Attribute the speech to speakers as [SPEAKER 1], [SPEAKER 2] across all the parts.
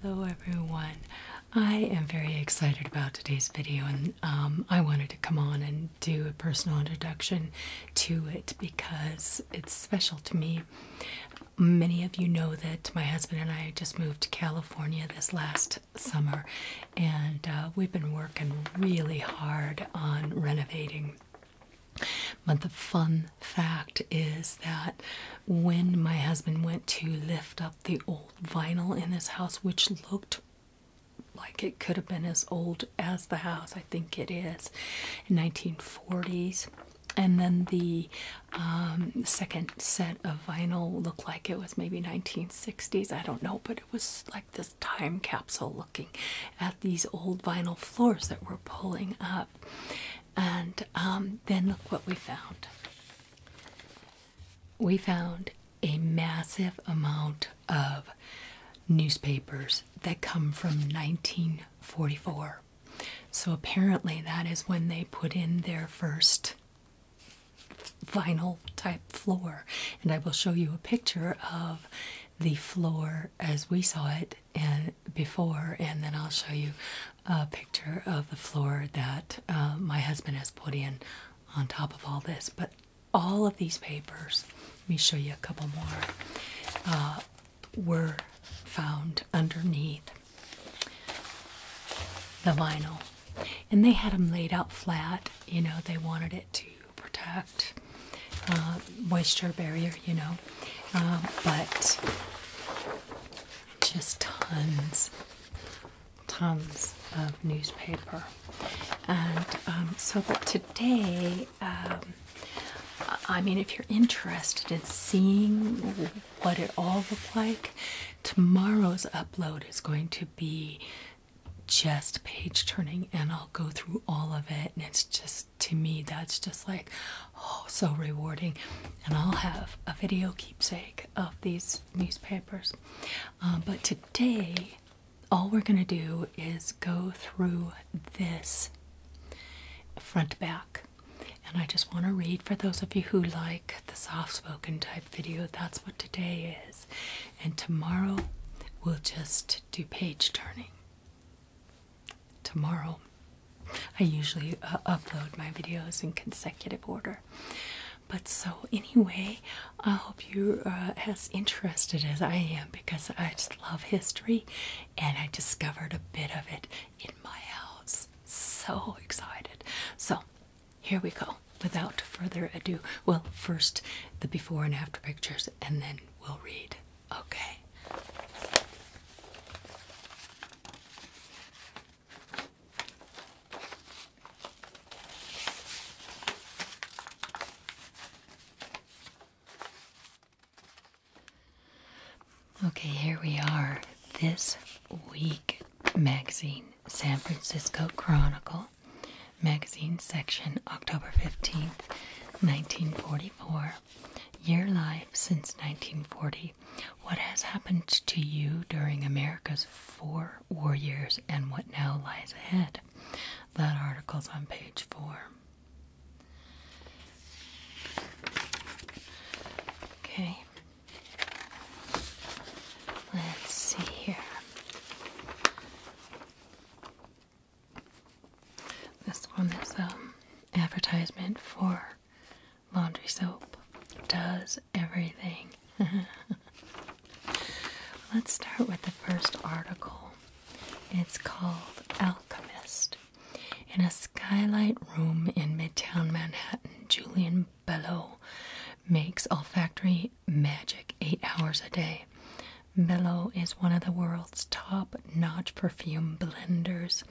[SPEAKER 1] Hello everyone. I am very excited about today's video and um, I wanted to come on and do a personal introduction to it because it's special to me. Many of you know that my husband and I just moved to California this last summer, and uh, we've been working really hard on renovating. But the fun fact is that when my husband went to lift up the old vinyl in this house, which looked like it could have been as old as the house, I think it is, in 1940s. And then the um, second set of vinyl looked like it was maybe 1960s i don't know but it was like this time capsule looking at these old vinyl floors that we're pulling up and um, then look what we found we found a massive amount of newspapers that come from 1944 so apparently that is when they put in their first vinyl type floor. And I will show you a picture of the floor as we saw it before, and then I'll show you a picture of the floor that uh, my husband has put in on top of all this. But all of these papers, let me show you a couple more, uh, were found underneath the vinyl and they had them laid out flat you know they wanted it to protect um, moisture barrier you know um, but just tons tons of newspaper and um, so that today I mean if you're interested in seeing what it all looked like tomorrow's upload is going to be just page turning and I'll go through all of it and it's just to me that's just like oh so rewarding and I'll have a video keepsake of these newspapers um, but today all we're gonna do is go through this front back and I just want to read for those of you who like the soft spoken type video. That's what today is. And tomorrow we'll just do page turning. Tomorrow I usually uh, upload my videos in consecutive order. But so, anyway, I hope you're uh, as interested as I am because I just love history and I discovered a bit of it in my house. So excited. So, here we go. Without further ado, well, first the before and after pictures, and then we'll read. Okay. Okay, here we are. This week magazine. San Francisco Chronicle magazine section, October 15th, 1944. Your life since 1940. What has happened to you during America's four war years and what now lies ahead? That article's on page four. Okay, Let's see here. This one is um advertisement for laundry soap. Does everything. Let's start with the first article. It's called Alchemist. In a skylight room in Midtown Manhattan, Julian William makes olfactory magic eight hours a day. Bellow is one of the world's top notch perfume blenders.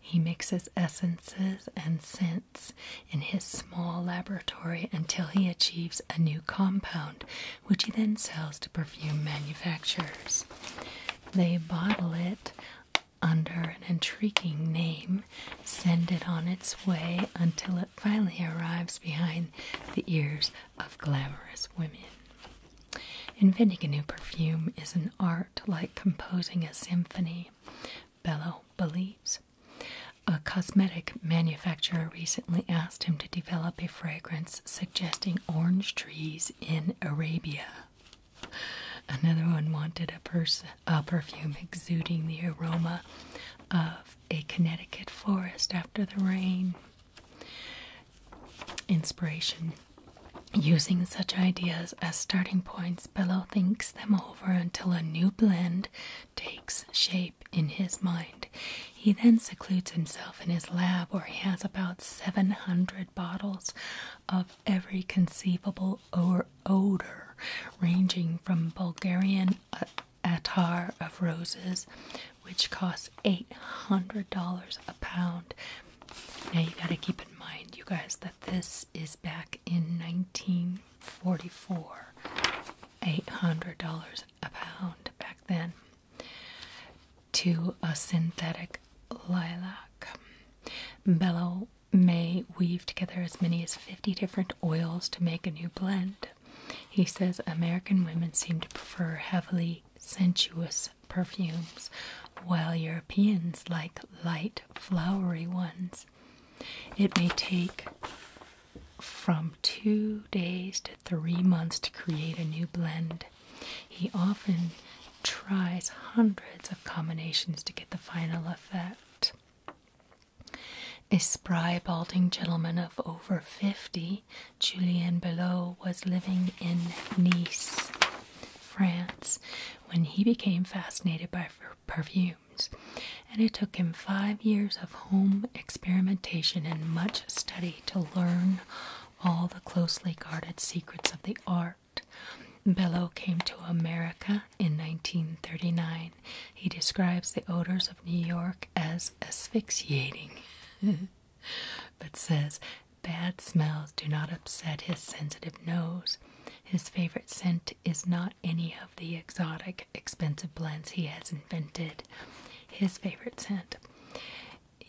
[SPEAKER 1] He mixes essences and scents in his small laboratory until he achieves a new compound, which he then sells to perfume manufacturers. They bottle it under an intriguing name, send it on its way until it finally arrives behind the ears of glamorous women. Inventing a new perfume is an art like composing a symphony, Bello believes. A cosmetic manufacturer recently asked him to develop a fragrance suggesting orange trees in Arabia. Another one wanted a perfume exuding the aroma of a Connecticut forest after the rain. Inspiration. Using such ideas as starting points, Bellow thinks them over until a new blend takes shape in his mind. He then secludes himself in his lab where he has about 700 bottles of every conceivable odor, ranging from Bulgarian uh, attar of roses, which costs $800 a pound. Now you got to keep in mind, you guys, that this is back in 1944. $800 a pound back then to a synthetic lilac. Bellow May weave together as many as 50 different oils to make a new blend. He says American women seem to prefer heavily sensuous perfumes, while Europeans like light, flowery ones. It may take from two days to three months to create a new blend. He often tries hundreds of combinations to get the final effect. A spry, balding gentleman of over 50, Julien Belot was living in Nice, France, when he became fascinated by perfumes, and it took him five years of home experimentation and much study to learn all the closely guarded secrets of the art. Belot came to America in 1939. He describes the odors of New York as asphyxiating, but says bad smells do not upset his sensitive nose. His favorite scent is not any of the exotic, expensive blends he has invented. His favorite scent.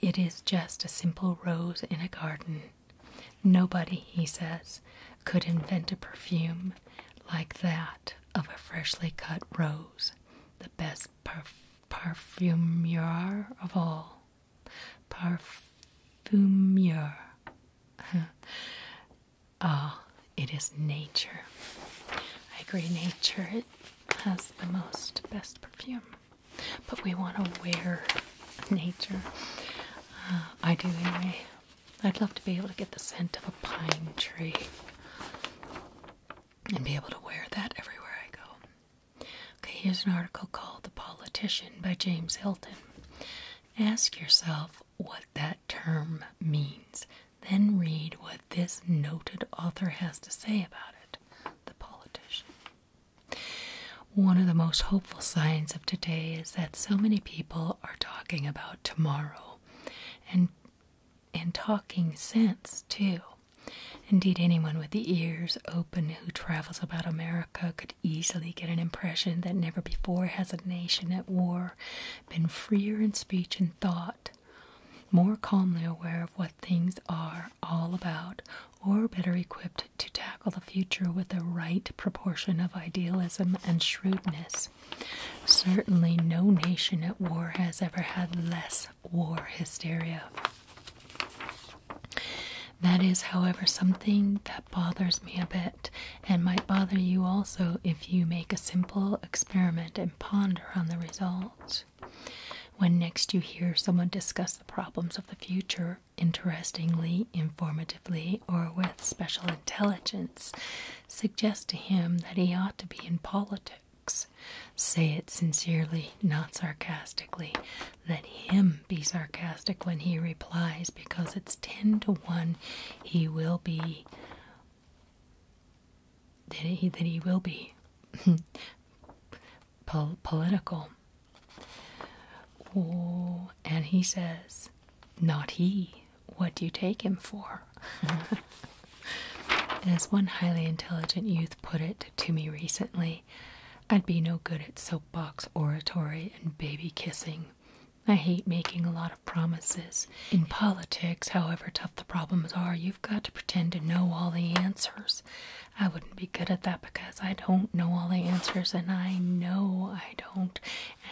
[SPEAKER 1] It is just a simple rose in a garden. Nobody, he says, could invent a perfume like that of a freshly cut rose, the best perf parfumeur of all. Parfumeur. Ah, it is nature. I agree, nature has the most best perfume, but we want to wear nature. Uh, I do anyway. I'd love to be able to get the scent of a pine tree and be able to wear that everywhere I go. Okay, here's an article called The Politician by James Hilton. Ask yourself what that term means, then read what this noted author has to say about it The Politician. One of the most hopeful signs of today is that so many people are talking about tomorrow and and talking sense, too. Indeed, anyone with the ears open who travels about America could easily get an impression that never before has a nation at war been freer in speech and thought, more calmly aware of what things are all about, or better equipped to tackle the future with the right proportion of idealism and shrewdness. Certainly, no nation at war has ever had less war hysteria. That is, however, something that bothers me a bit and might bother you also if you make a simple experiment and ponder on the results. When next you hear someone discuss the problems of the future, interestingly, informatively, or with special intelligence suggest to him that he ought to be in politics. Say it sincerely, not sarcastically. Let him be sarcastic when he replies, because it's ten to one he will be. That he, that he will be political. Oh, and he says, Not he, what do you take him for? As one highly intelligent youth put it to me recently, I'd be no good at soapbox oratory and baby kissing. I hate making a lot of promises. In politics, however tough the problems are, you've got to pretend to know all the answers. I wouldn't be good at that because I don't know all the answers, and I know I don't.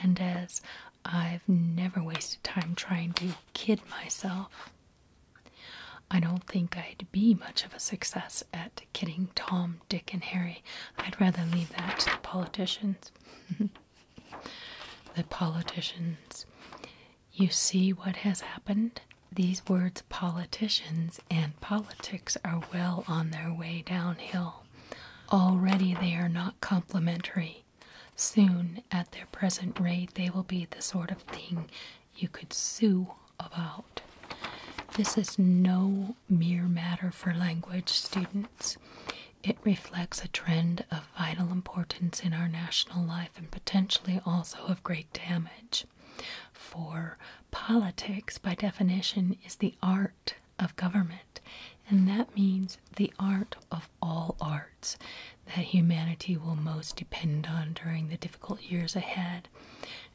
[SPEAKER 1] And as I've never wasted time trying to kid myself. I don't think I'd be much of a success at kidding Tom, Dick, and Harry. I'd rather leave that to the politicians. the politicians. You see what has happened? These words, politicians and politics, are well on their way downhill. Already they are not complimentary. Soon, at their present rate, they will be the sort of thing you could sue about. This is no mere matter for language students. It reflects a trend of vital importance in our national life and potentially also of great damage. For politics, by definition, is the art of government, and that means the art of all arts that humanity will most depend on during the difficult years ahead.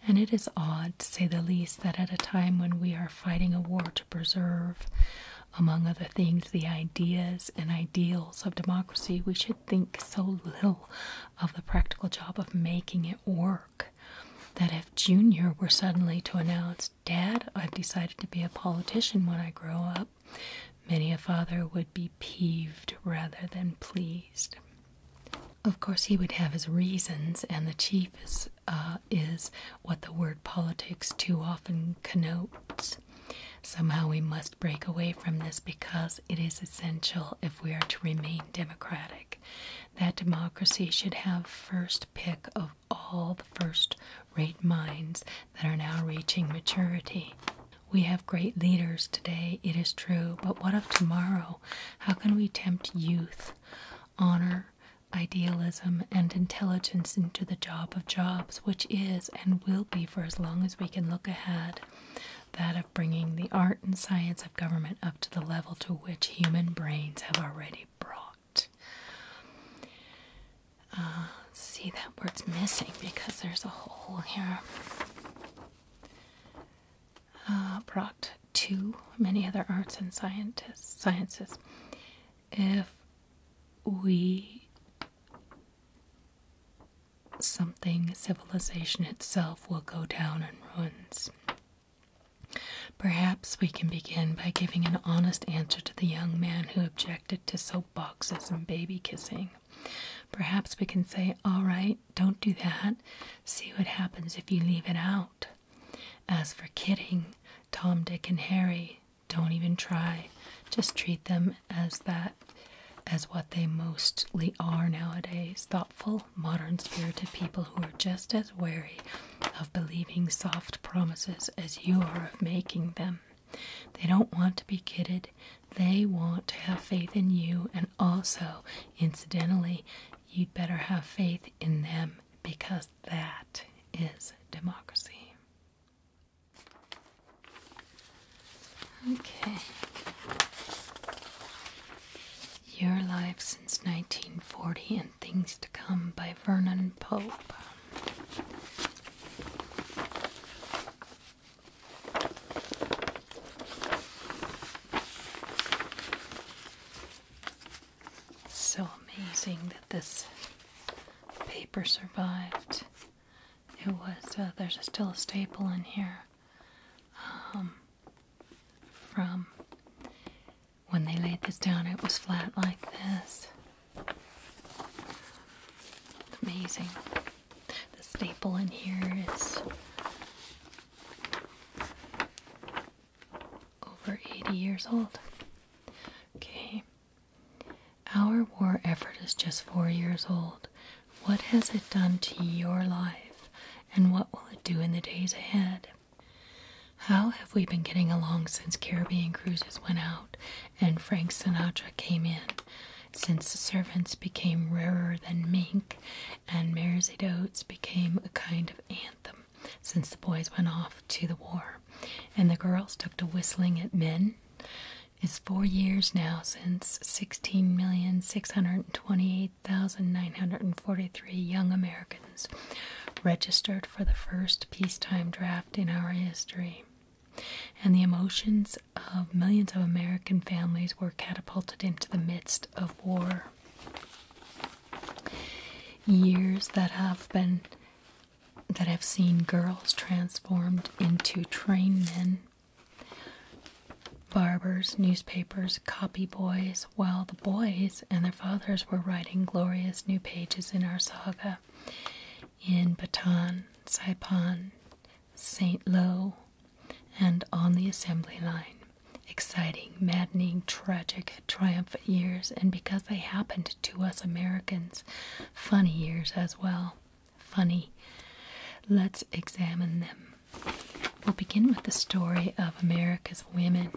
[SPEAKER 1] And it is odd, to say the least, that at a time when we are fighting a war to preserve, among other things, the ideas and ideals of democracy, we should think so little of the practical job of making it work. That if Junior were suddenly to announce, Dad, I've decided to be a politician when I grow up, Many a father would be peeved rather than pleased. Of course, he would have his reasons, and the chief is, uh, is what the word politics too often connotes. Somehow we must break away from this because it is essential if we are to remain democratic. That democracy should have first pick of all the first great minds that are now reaching maturity. We have great leaders today, it is true, but what of tomorrow? How can we tempt youth, honor, idealism, and intelligence into the job of jobs, which is and will be for as long as we can look ahead? That of bringing the art and science of government up to the level to which human brains have already brought see, that word's missing because there's a hole here. Uh, brought to many other arts and scientists, sciences. If we something civilization itself will go down in ruins. Perhaps we can begin by giving an honest answer to the young man who objected to so boxes and baby kissing. Perhaps we can say, All right, don't do that. See what happens if you leave it out. As for kidding, Tom, Dick, and Harry, don't even try. Just treat them as that, as what they mostly are nowadays thoughtful, modern spirited people who are just as wary of believing soft promises as you are of making them. They don't want to be kidded. They want to have faith in you, and also, incidentally, you'd better have faith in them because that is democracy. Okay. Your Life Since 1940 and Things to Come by Vernon Pope. So amazing that this paper survived. It was, uh, there's still a staple in here um, from when they laid this down, it was flat like this. Amazing. The staple in here is over 80 years old. Okay. Our war effort is just four years old. What has it done to your life, and what will it do in the days ahead? How have we been getting along since Caribbean Cruises went out and Frank Sinatra came in. Since the servants became rarer than mink, and Mersey Oats became a kind of anthem, since the boys went off to the war, and the girls took to whistling at men. It's four years now since 16,628,943 young Americans registered for the first peacetime draft in our history and the emotions of millions of American families were catapulted into the midst of war. Years that have been that have seen girls transformed into trained men, barbers, newspapers, copy boys, while the boys and their fathers were writing glorious new pages in our saga in Baton, Saipan, St. Lo, and on the assembly line. Exciting, maddening, tragic, triumphant years, and because they happened to us Americans, funny years as well. Funny. Let's examine them. We'll begin with the story of America's women.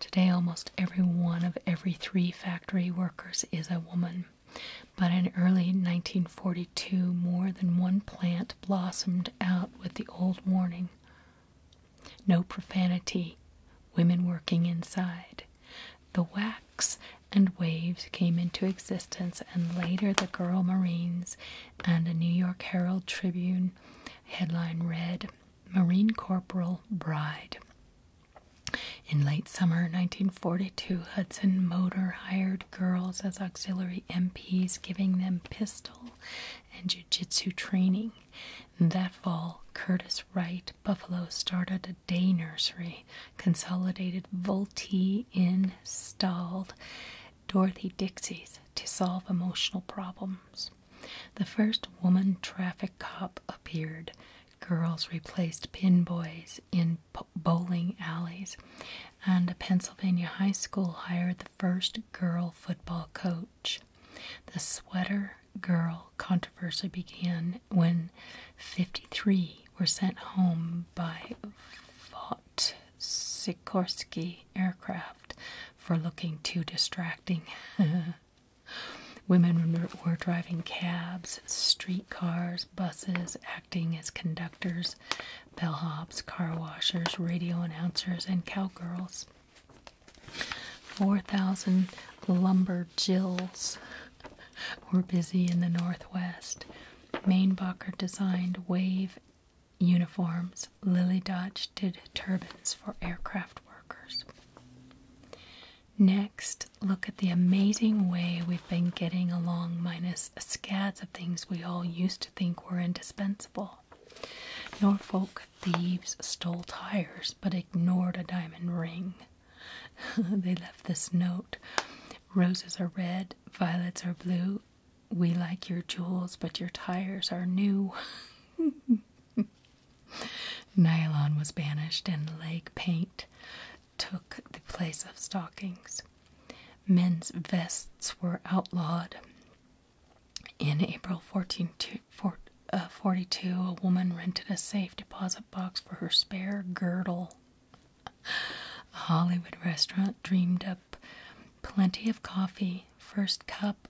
[SPEAKER 1] Today, almost every one of every three factory workers is a woman. But in early 1942, more than one plant blossomed out with the old warning no profanity, women working inside. The wax and waves came into existence, and later the Girl Marines and a New York Herald Tribune headline read Marine Corporal Bride. In late summer 1942, Hudson Motor hired girls as auxiliary MPs, giving them pistol and jiu jitsu training. That fall, Curtis Wright Buffalo started a day nursery, consolidated Volte installed Dorothy Dixie's to solve emotional problems. The first woman traffic cop appeared. Girls replaced pin boys in bowling alleys, and a Pennsylvania high school hired the first girl football coach. The sweater girl controversy began when 53 were sent home by Vought Sikorsky aircraft for looking too distracting. Women were driving cabs, street cars, buses, acting as conductors, bellhops, car washers, radio announcers, and cowgirls. 4,000 lumber lumberjills were busy in the Northwest. Mainbacher designed wave uniforms. Lily Dodge did turbans for aircraft workers. Next, look at the amazing way we've been getting along, minus scads of things we all used to think were indispensable. Norfolk thieves stole tires but ignored a diamond ring. they left this note Roses are red, violets are blue. We like your jewels, but your tires are new. Nylon was banished and leg paint took the place of stockings. Men's vests were outlawed. In April 1442, uh, a woman rented a safe deposit box for her spare girdle. A Hollywood restaurant dreamed up plenty of coffee. First cup,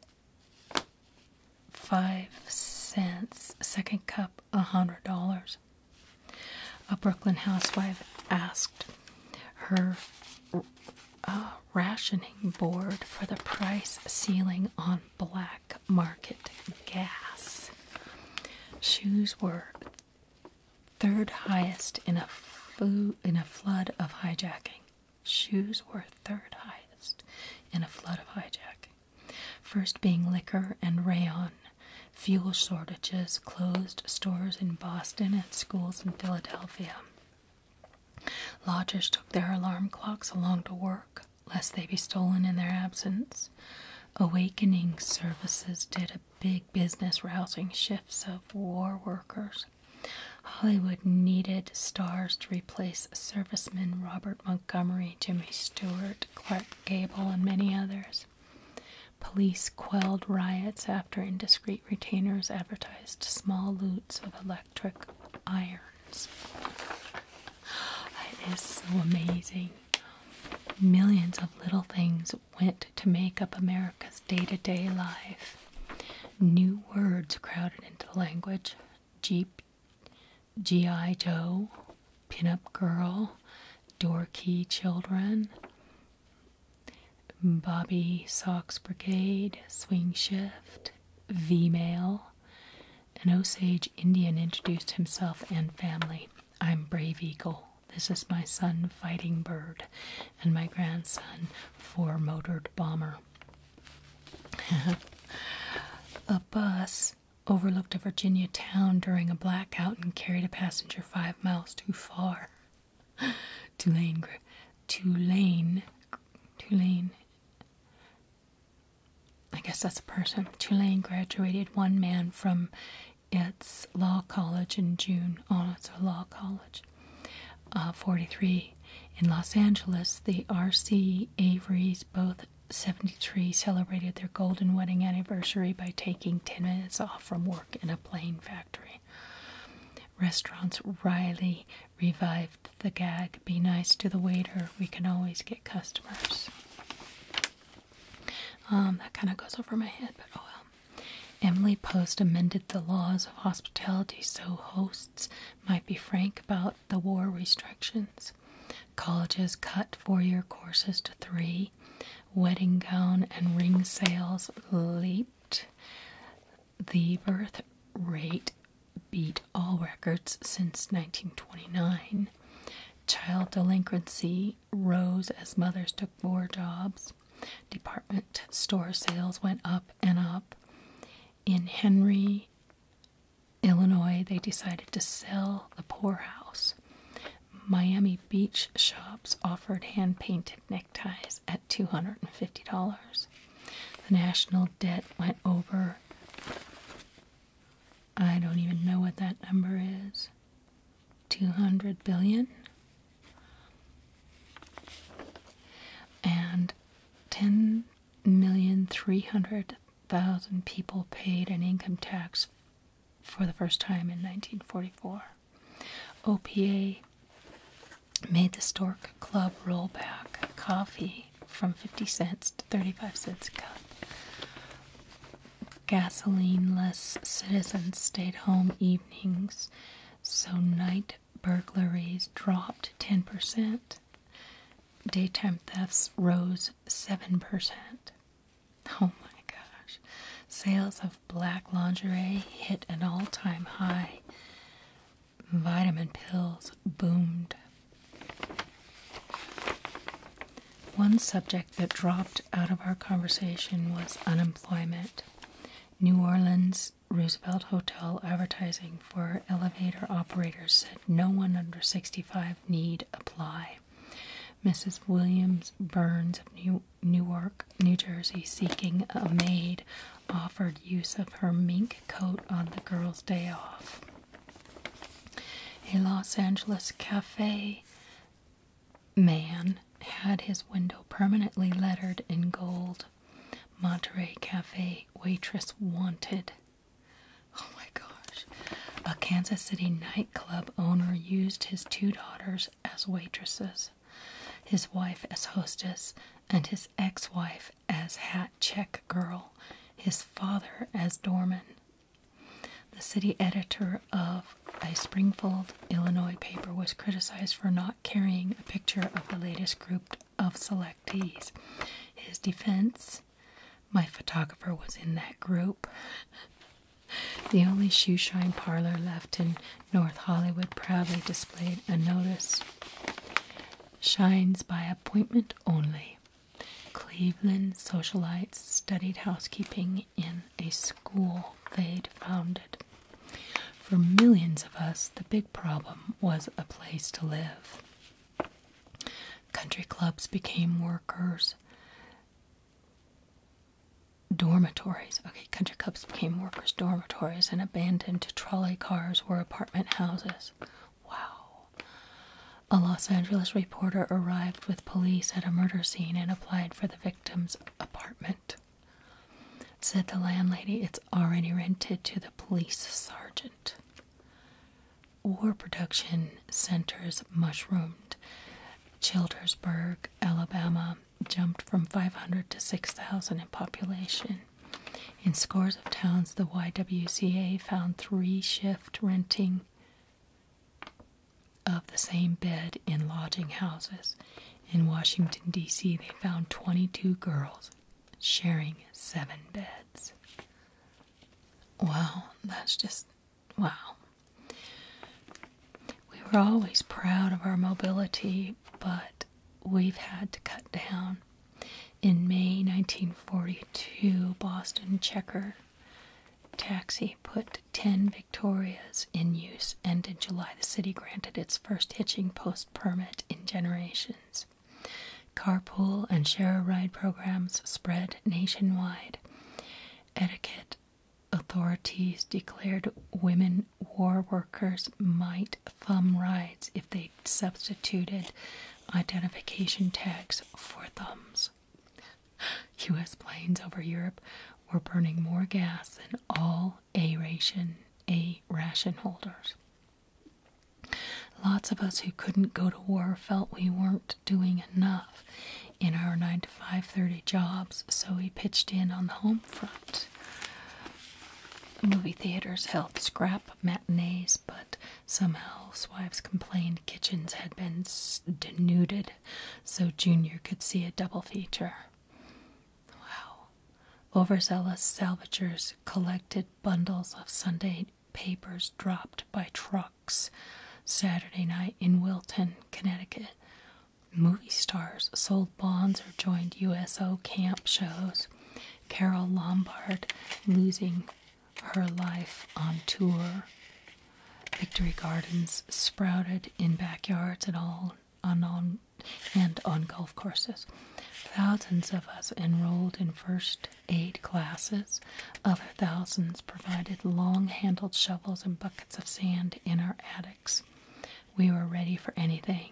[SPEAKER 1] five cents. Second cup, a hundred dollars. A Brooklyn housewife asked her uh, rationing board for the price ceiling on black market gas. Shoes were third highest in a in a flood of hijacking. Shoes were third highest in a flood of hijacking. First being liquor and rayon, fuel shortages closed stores in Boston and schools in Philadelphia. Lodgers took their alarm clocks along to work lest they be stolen in their absence. Awakening services did a big business rousing shifts of war workers. Hollywood needed stars to replace servicemen Robert Montgomery, Jimmy Stewart, Clark Gable, and many others. Police quelled riots after indiscreet retainers advertised small loots of electric irons. That is so amazing. Millions of little things went to make up America's day to day life. New words crowded into language Jeep, G.I. Joe, Pinup Girl, Dorky Children, Bobby Socks Brigade, Swing Shift, V Mail. An Osage Indian introduced himself and family. I'm Brave Eagle. This is my son, Fighting Bird, and my grandson, Four Motored Bomber. a bus overlooked a Virginia town during a blackout and carried a passenger five miles too far. Tulane, Tulane, Tulane. I guess that's a person. Tulane graduated one man from its law college in June. Oh, it's a law college. Uh, 43. In Los Angeles, the R.C. Avery's, both 70. Tree celebrated their golden wedding anniversary by taking 10 minutes off from work in a plane factory. Restaurants Riley revived the gag be nice to the waiter, we can always get customers. Um, that kind of goes over my head, but oh well. Emily Post amended the laws of hospitality so hosts might be frank about the war restrictions. Colleges cut four year courses to three wedding gown and ring sales leaped. The birth rate beat all records since 1929. Child delinquency rose as mothers took more jobs. Department store sales went up and up. In Henry, Illinois, they decided to sell the poorhouse. Miami Beach shops offered hand painted neckties at $250. The national debt went over, I don't even know what that number is, 200 billion. And people paid an income tax for the first time in 1944. OPA made the Stork Club roll back coffee from 50 cents to 35 cents a cup. Gasoline less citizens stayed home evenings, so night burglaries dropped 10%. Daytime thefts rose 7%. Oh my gosh. Sales of black lingerie hit an all time high. Vitamin pills boomed. One subject that dropped out of our conversation was unemployment. New Orleans Roosevelt Hotel advertising for elevator operators said no one under 65 need apply. Mrs. Williams Burns of New Newark, New Jersey, seeking a maid, offered use of her mink coat on the girl's day off. A Los Angeles cafe man had his window permanently lettered in gold. Monterey Cafe waitress wanted. Oh my gosh. A Kansas City night. Club owner used his two daughters as waitresses, his wife as hostess, and his ex wife as hat check girl, his father as doorman. The city editor of a Springfield, Illinois paper was criticized for not carrying a picture of the latest group of selectees. His defense my photographer was in that group. The only shoe shine parlor left in North Hollywood proudly displayed a notice Shines by appointment only. Cleveland socialites studied housekeeping in a school they'd founded. For millions of us, the big problem was a place to live. Country clubs became workers' dormitories. Okay, country clubs became workers' dormitories and abandoned trolley cars were apartment houses. Wow. A Los Angeles reporter arrived with police at a murder scene and applied for the victim's apartment. Said the landlady, it's already rented to the police sergeant. War production centers mushroomed. Childersburg Alabama jumped from 500 to 6,000 in population. In scores of towns, the YWCA found three shift renting of the same bed in lodging houses. In Washington, D.C., they found 22 girls sharing seven beds. Wow, that's just Wow. We were always proud of our mobility, but we've had to cut down. In May 1942, Boston Checker Taxi put 10 Victorias in use, and in July, the city granted its first hitching post permit in generations. Carpool and share a ride programs spread nationwide. Etiquette authorities declared women war workers might thumb rides if they substituted identification tags for thumbs. U.S. planes over Europe were burning more gas than all A ration, A ration holders. Lots of us who couldn't go to war felt we weren't doing enough, in our 9 to 5:30 jobs, so we pitched in on the home front. Movie theaters held scrap matinees, but some housewives complained kitchens had been denuded, so Junior could see a double feature. Wow. Overzealous salvagers collected bundles of Sunday papers dropped by trucks Saturday night in Wilton, Connecticut. Movie stars sold bonds or joined USO camp shows. Carol Lombard losing her life on tour. Victory Gardens sprouted in backyards and all on, on and on golf courses. Thousands of us enrolled in first aid classes. Other thousands provided long handled shovels and buckets of sand in our attics. We were ready for anything.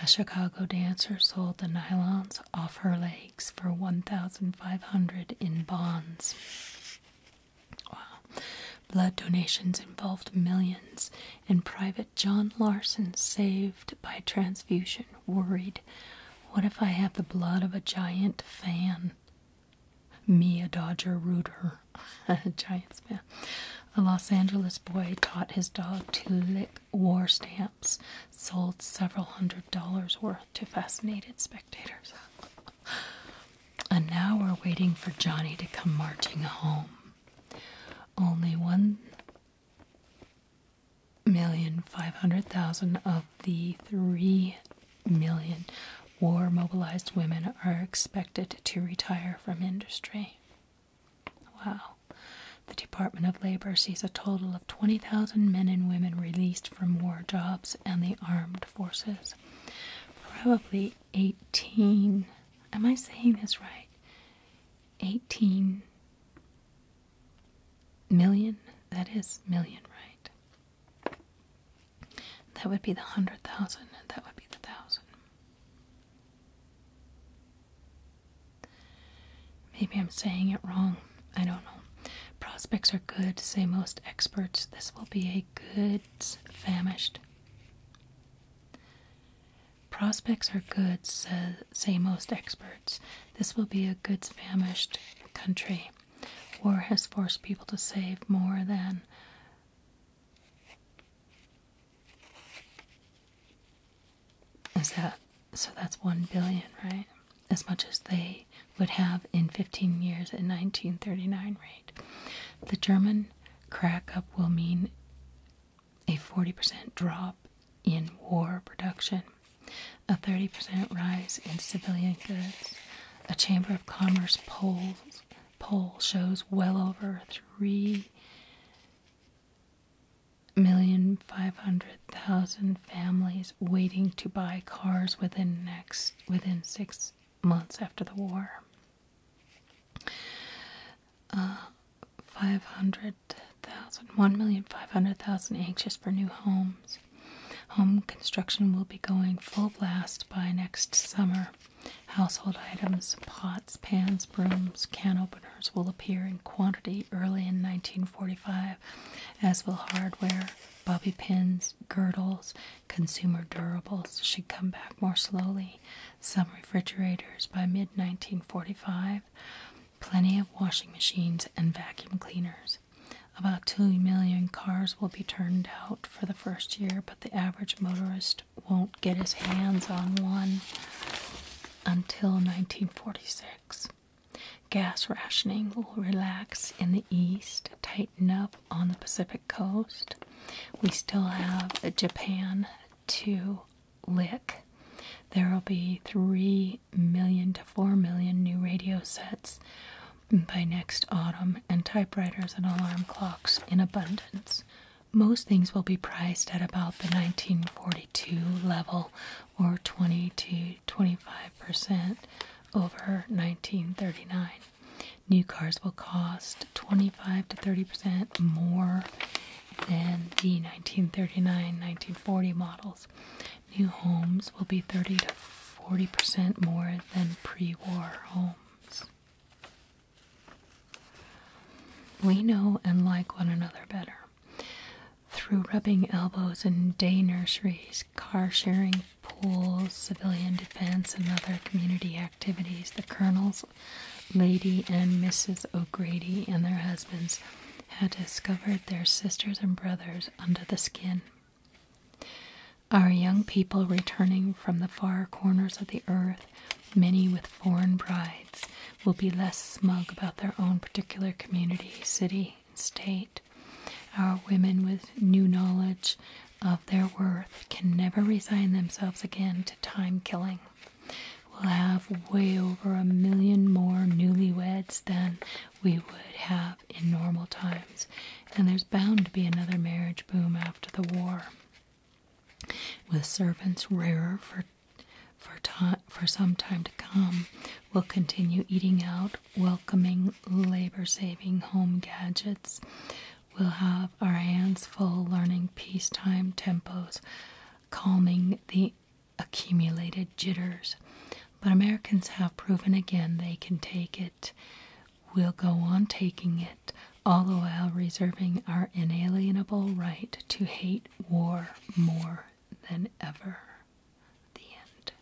[SPEAKER 1] A Chicago dancer sold the nylons off her legs for 1500 in bonds. Wow. Blood donations involved millions, and Private John Larson, saved by transfusion, worried, What if I have the blood of a giant fan? fan. Me, a Dodger rooter, a Giants fan. A Los Angeles boy taught his dog to lick war stamps, sold several hundred dollars worth to fascinated spectators. and now we're waiting for Johnny to come marching home. Only one million five hundred thousand of the three million war mobilized women are expected to retire from industry. Wow. The Department of Labor sees a total of 20,000 men and women released from war jobs and the armed forces. Probably 18. Am I saying this right? 18 million. That is million, right? That would be the hundred thousand, and that would be the thousand. Maybe I'm saying it wrong. I don't know. Prospects are good, say most experts. This will be a goods famished. Prospects are good, say, say most experts. This will be a goods famished country. War has forced people to save more than is that so? That's one billion, right? As much as they would have in 15 years at 1939 rate. The German crack up will mean a 40% drop in war production, a 30% rise in civilian goods, a Chamber of Commerce polls poll shows well over 3,500,000 families waiting to buy cars within next within 6 months after the war. Uh, 1,500,000 anxious for new homes. Home construction will be going full blast by next summer. Household items, pots, pans, brooms, can openers will appear in quantity early in 1945, as will hardware, bobby pins, girdles, consumer durables should come back more slowly. Some refrigerators by mid 1945, plenty of washing machines and vacuum cleaners. About 2 million cars will be turned out for the first year but the average motorist won't get his hands on one until 1946. Gas rationing will relax in the east, tighten up on the Pacific coast. We still have Japan to lick. There will be 3 million to 4 million new radio sets by next autumn, and typewriters and alarm clocks in abundance. Most things will be priced at about the 1942 level or 20 to 25% over 1939. New cars will cost 25 to 30% more than the 1939-1940 models. New homes will be 30 to 40% more than pre-war homes. We know and like one another better. Through rubbing elbows in day nurseries, car sharing, pools, civilian defense, and other community activities, the colonels, Lady and Mrs. O'Grady, and their husbands had discovered their sisters and brothers under the skin. Our young people returning from the far corners of the earth, many with foreign brides, will be less smug about their own particular community, city, state. Our women with new knowledge of their worth can never resign themselves again to time killing. We'll have way over a million more newlyweds than we would have in normal times, and there's bound to be another marriage boom after the war, with servants rarer for for for some time to come. We'll continue eating out, welcoming labor-saving home gadgets. We'll have our hands full learning peacetime tempos, calming the accumulated jitters. But Americans have proven again they can take it. We'll go on taking it, all the while reserving our inalienable right to hate war more than ever. The end.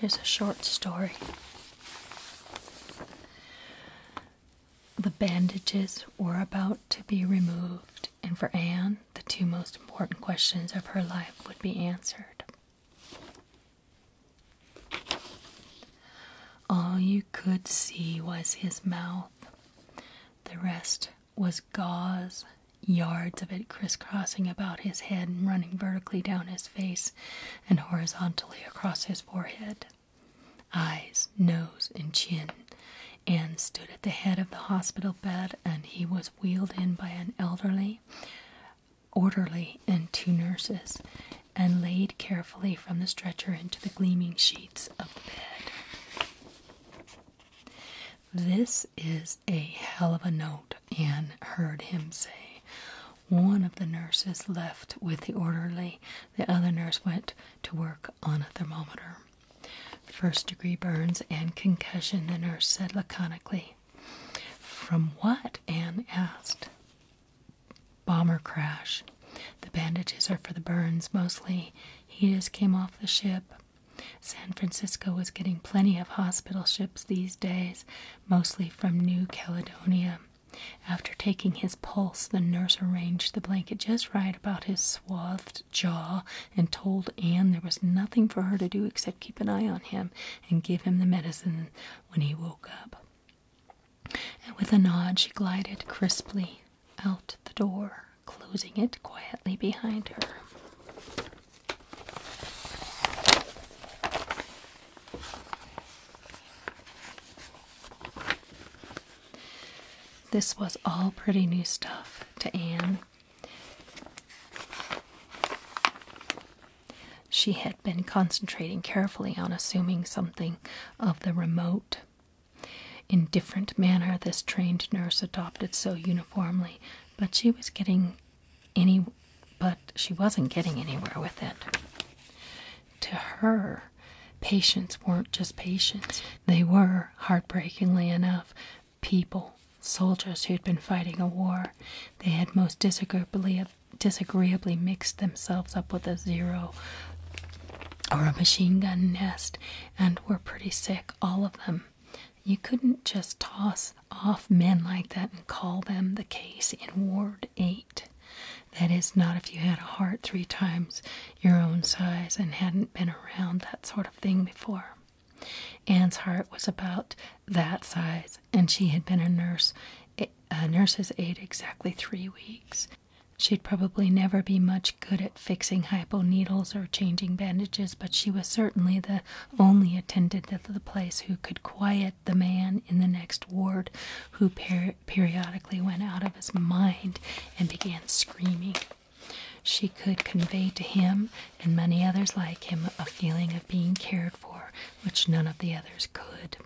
[SPEAKER 1] Here's a short story. The bandages were about to be removed, and for Anne, the two most important questions of her life would be answered. All you could see was his mouth. The rest was gauze, yards of it crisscrossing about his head and running vertically down his face and horizontally across his forehead eyes, nose, and chin, Anne stood at the head of the hospital bed. And he was wheeled in by an elderly orderly and two nurses, and laid carefully from the stretcher into the gleaming sheets of the bed. This is a hell of a note, Anne heard him say. One of the nurses left with the orderly, the other nurse went to work on a thermometer. First degree burns and concussion, the nurse said laconically. From what? Anne asked. Bomber crash. The bandages are for the burns mostly. He just came off the ship. San Francisco was getting plenty of hospital ships these days, mostly from New Caledonia. After taking his pulse, the nurse arranged the blanket just right about his swathed jaw and told Anne there was nothing for her to do except keep an eye on him and give him the medicine when he woke up. And with a nod, she glided crisply out the door, closing it quietly behind her. This was all pretty new stuff to Anne. She had been concentrating carefully on assuming something of the remote, indifferent manner this trained nurse adopted so uniformly, but she was getting any but she wasn't getting anywhere with it to her, patients weren't just patients, they were, heartbreakingly enough, people. Soldiers who'd been fighting a war. They had most disagreeably, mixed themselves up with a zero or a machine gun nest and were pretty sick, all of them. You couldn't just toss off men like that and call them the case in Ward 8. That is, not if you had a heart three times your own size and hadn't been around that sort of thing before. Anne's heart was about that size, and she had been a nurse, a nurse's aide exactly three weeks. She'd probably never be much good at fixing hypo needles or changing bandages, but she was certainly the only attendant at the place who could quiet the man in the next ward who periodically went out of his mind and began screaming. She could convey to him and many others like him a feeling of being cared for, which none of the others could.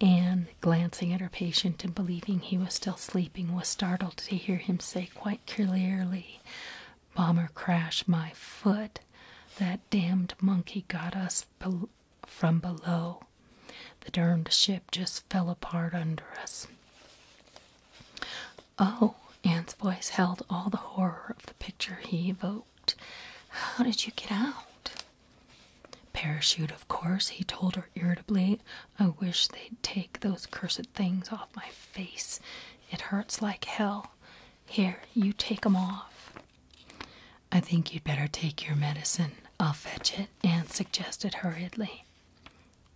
[SPEAKER 1] Anne, glancing at her patient and believing he was still sleeping, was startled to hear him say quite clearly, Bomber crash! my foot. That damned monkey got us from below. The darned ship just fell apart under us. Oh, Anne's voice held all the horror of the picture he evoked. How did you get out? Parachute, of course, he told her irritably. I wish they'd take those cursed things off my face. It hurts like hell. Here, you take 'em off. I think you'd better take your medicine. I'll fetch it, Anne suggested hurriedly.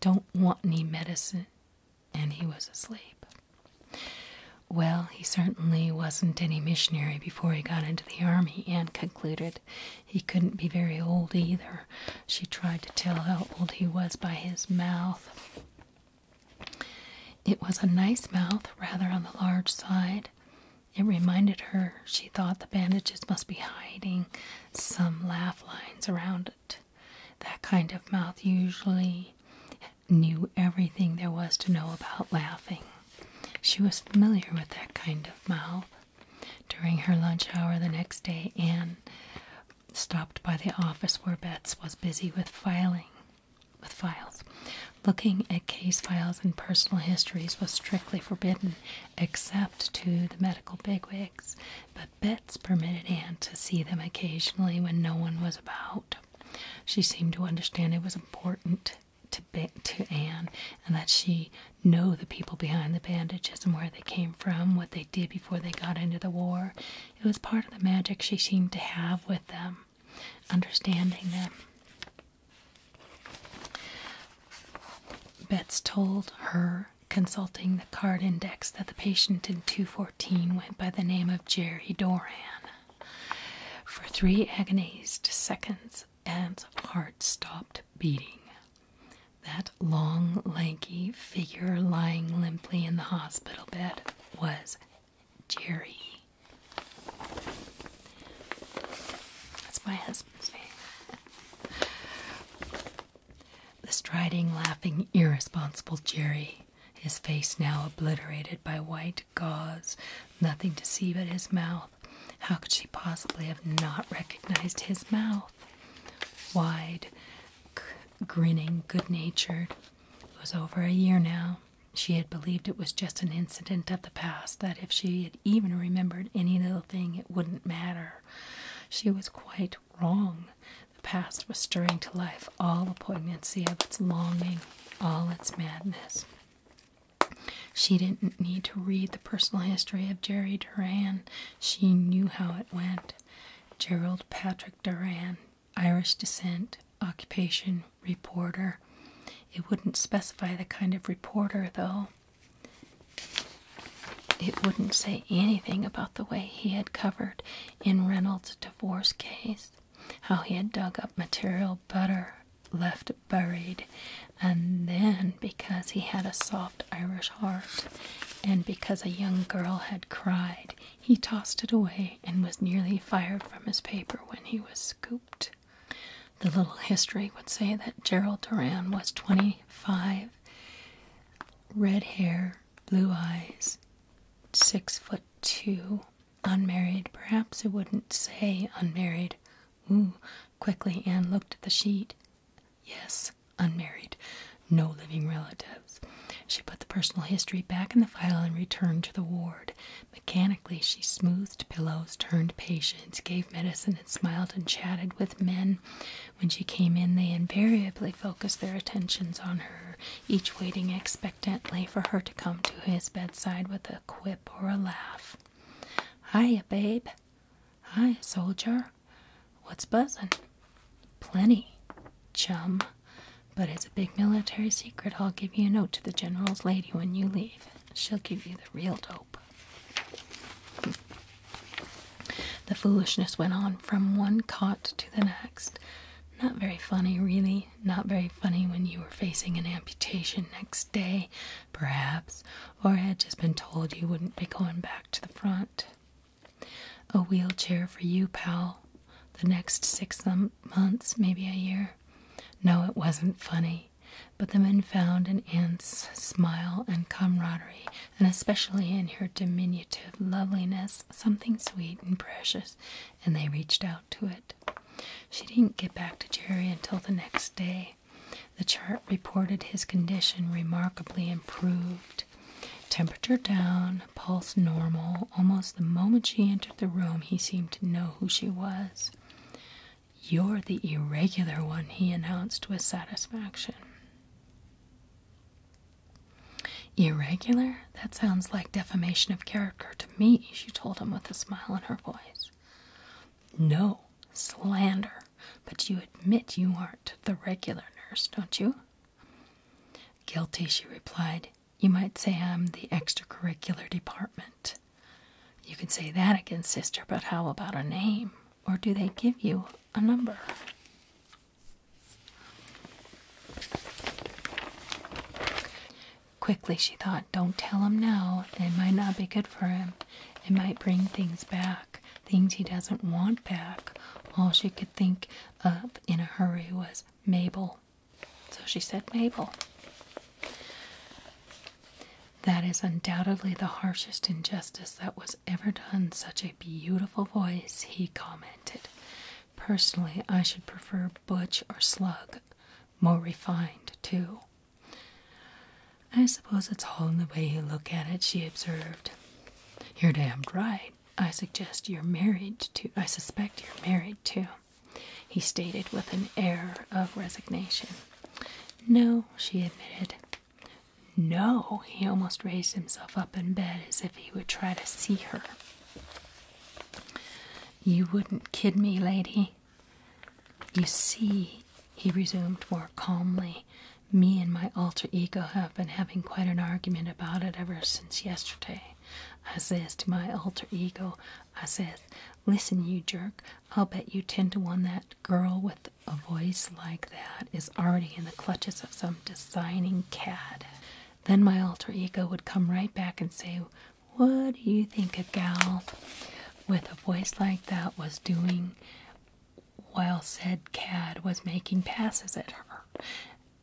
[SPEAKER 1] Don't want any medicine. And he was asleep. Well, he certainly wasn't any missionary before he got into the army, Anne concluded. He couldn't be very old either. She tried to tell how old he was by his mouth. It was a nice mouth, rather on the large side. It reminded her she thought the bandages must be hiding some laugh lines around it. That kind of mouth usually knew everything there was to know about laughing. She was familiar with that kind of mouth. During her lunch hour the next day, Anne stopped by the office where Betts was busy with filing with files. Looking at case files and personal histories was strictly forbidden except to the medical bigwigs, but Bets permitted Anne to see them occasionally when no one was about. She seemed to understand it was important to, to Anne and that she know the people behind the bandages and where they came from, what they did before they got into the war. It was part of the magic she seemed to have with them, understanding them. Bets told her, consulting the card index, that the patient in 214 went by the name of Jerry Doran. For three agonized seconds, Anne's heart stopped beating. That long, lanky figure lying limply in the hospital bed was Jerry. That's my the striding, laughing, irresponsible Jerry, his face now obliterated by white gauze, nothing to see but his mouth. How could she possibly have not recognized his mouth? Wide, grinning, good natured. It was over a year now. She had believed it was just an incident of the past, that if she had even remembered any little thing, it wouldn't matter. She was quite wrong. The past was stirring to life all the poignancy of its longing, all its madness. She didn't need to read the personal history of Jerry Duran. She knew how it went. Gerald Patrick Duran, Irish descent, occupation, reporter. It wouldn't specify the kind of reporter, though. It wouldn't say anything about the way he had covered in Reynolds' divorce case, how he had dug up material better left buried, and then because he had a soft Irish heart, and because a young girl had cried, he tossed it away and was nearly fired from his paper when he was scooped. The little history would say that Gerald Duran was 25, red hair, blue eyes, six foot two, unmarried. Perhaps it wouldn't say unmarried. Ooh, quickly Anne looked at the sheet. Yes, unmarried. No living relatives. She put the personal history back in the file and returned to the ward. Mechanically, she smoothed pillows, turned patients, gave medicine and smiled and chatted with men. When she came in, they invariably focused their attentions on her, each waiting expectantly for her to come to his bedside with a quip or a laugh. Hiya, babe. Hi, soldier. What's buzzin'? Plenty, chum. But it's a big military secret. I'll give you a note to the general's lady when you leave. She'll give you the real dope. The foolishness went on from one cot to the next. Not very funny, really. Not very funny when you were facing an amputation next day, perhaps, or had just been told you wouldn't be going back to the front. A wheelchair for you, pal. The next six months, maybe a year. No, it wasn't funny but the men found in Anne's smile and camaraderie, and especially in her diminutive loveliness, something sweet and precious, and they reached out to it. She didn't get back to Jerry until the next day. The chart reported his condition remarkably improved. Temperature down, pulse normal. Almost the moment she entered the room, he seemed to know who she was. You're the irregular one, he announced with satisfaction. Irregular? That sounds like defamation of character to me, she told him with a smile in her voice. No, slander. But you admit you aren't the regular nurse, don't you? Guilty, she replied. You might say I'm the extracurricular department. You can say that again, sister, but how about a name? or do they give you a number? Quickly she thought, don't tell him now. It might not be good for him. It might bring things back, things he doesn't want back. All she could think of in a hurry was Mabel. So she said Mabel. That is undoubtedly the harshest injustice that was ever done such a beautiful voice, he commented. Personally, I should prefer Butch or Slug. More refined, too. I suppose it's all in the way you look at it, she observed. You're damned right. I suggest you're married to I suspect you're married to he stated with an air of resignation. No, she admitted. No, he almost raised himself up in bed as if he would try to see her. You wouldn't kid me, lady. You see, he resumed more calmly, me and my alter ego have been having quite an argument about it ever since yesterday. I says to my alter ego, I says, Listen, you jerk, I'll bet you ten to one that girl with a voice like that is already in the clutches of some designing cad. Then my alter ego would come right back and say, What do you think a gal with a voice like that was doing while said cad was making passes at her?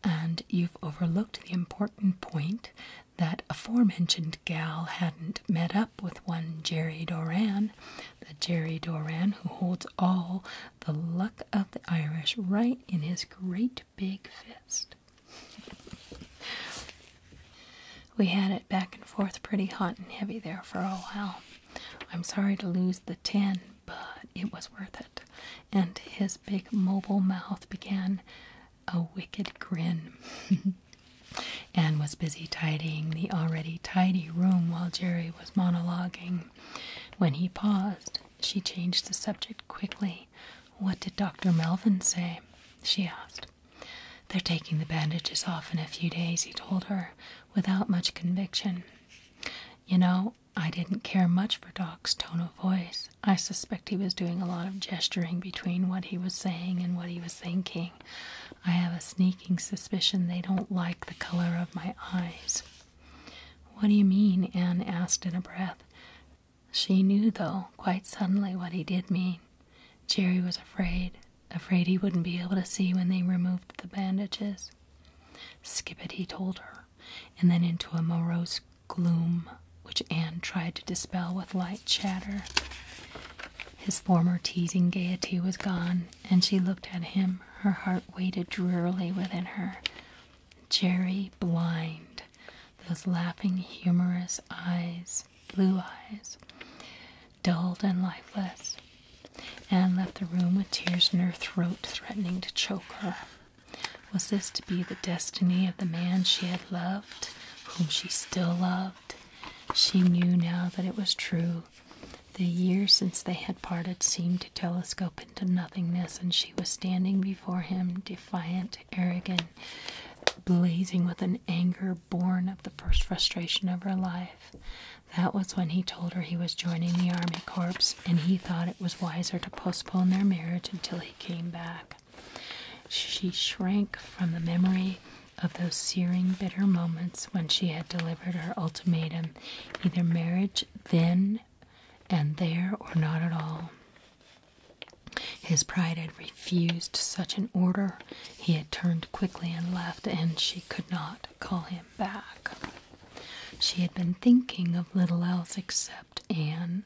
[SPEAKER 1] And you've overlooked the important point that aforementioned gal hadn't met up with one Jerry Doran, the Jerry Doran who holds all the luck of the Irish right in his great big fist. We had it back and forth pretty hot and heavy there for a while. I'm sorry to lose the ten, but it was worth it. And his big mobile mouth began a wicked grin. Anne was busy tidying the already tidy room while Jerry was monologuing. When he paused, she changed the subject quickly. What did Dr. Melvin say? she asked. They're taking the bandages off in a few days, he told her, without much conviction. You know, I didn't care much for Doc's tone of voice. I suspect he was doing a lot of gesturing between what he was saying and what he was thinking. I have a sneaking suspicion they don't like the color of my eyes. What do you mean? Anne asked in a breath. She knew, though, quite suddenly what he did mean. Jerry was afraid, afraid he wouldn't be able to see when they removed the bandages. Skip it, he told her, and then into a morose gloom which Anne tried to dispel with light chatter. His former teasing gaiety was gone, and she looked at him. Her heart waited drearily within her. Jerry Blind, those laughing, humorous eyes, blue eyes, dulled and lifeless. Anne left the room with tears in her throat, threatening to choke her. Was this to be the destiny of the man she had loved, whom she still loved? She knew now that it was true, the years since they had parted seemed to telescope into nothingness, and she was standing before him, defiant, arrogant, blazing with an anger born of the first frustration of her life. That was when he told her he was joining the Army Corps, and he thought it was wiser to postpone their marriage until he came back. She shrank from the memory of those searing, bitter moments when she had delivered her ultimatum either marriage then and there or not at all. His pride had refused such an order. He had turned quickly and left, and she could not call him back. She had been thinking of little else except Anne.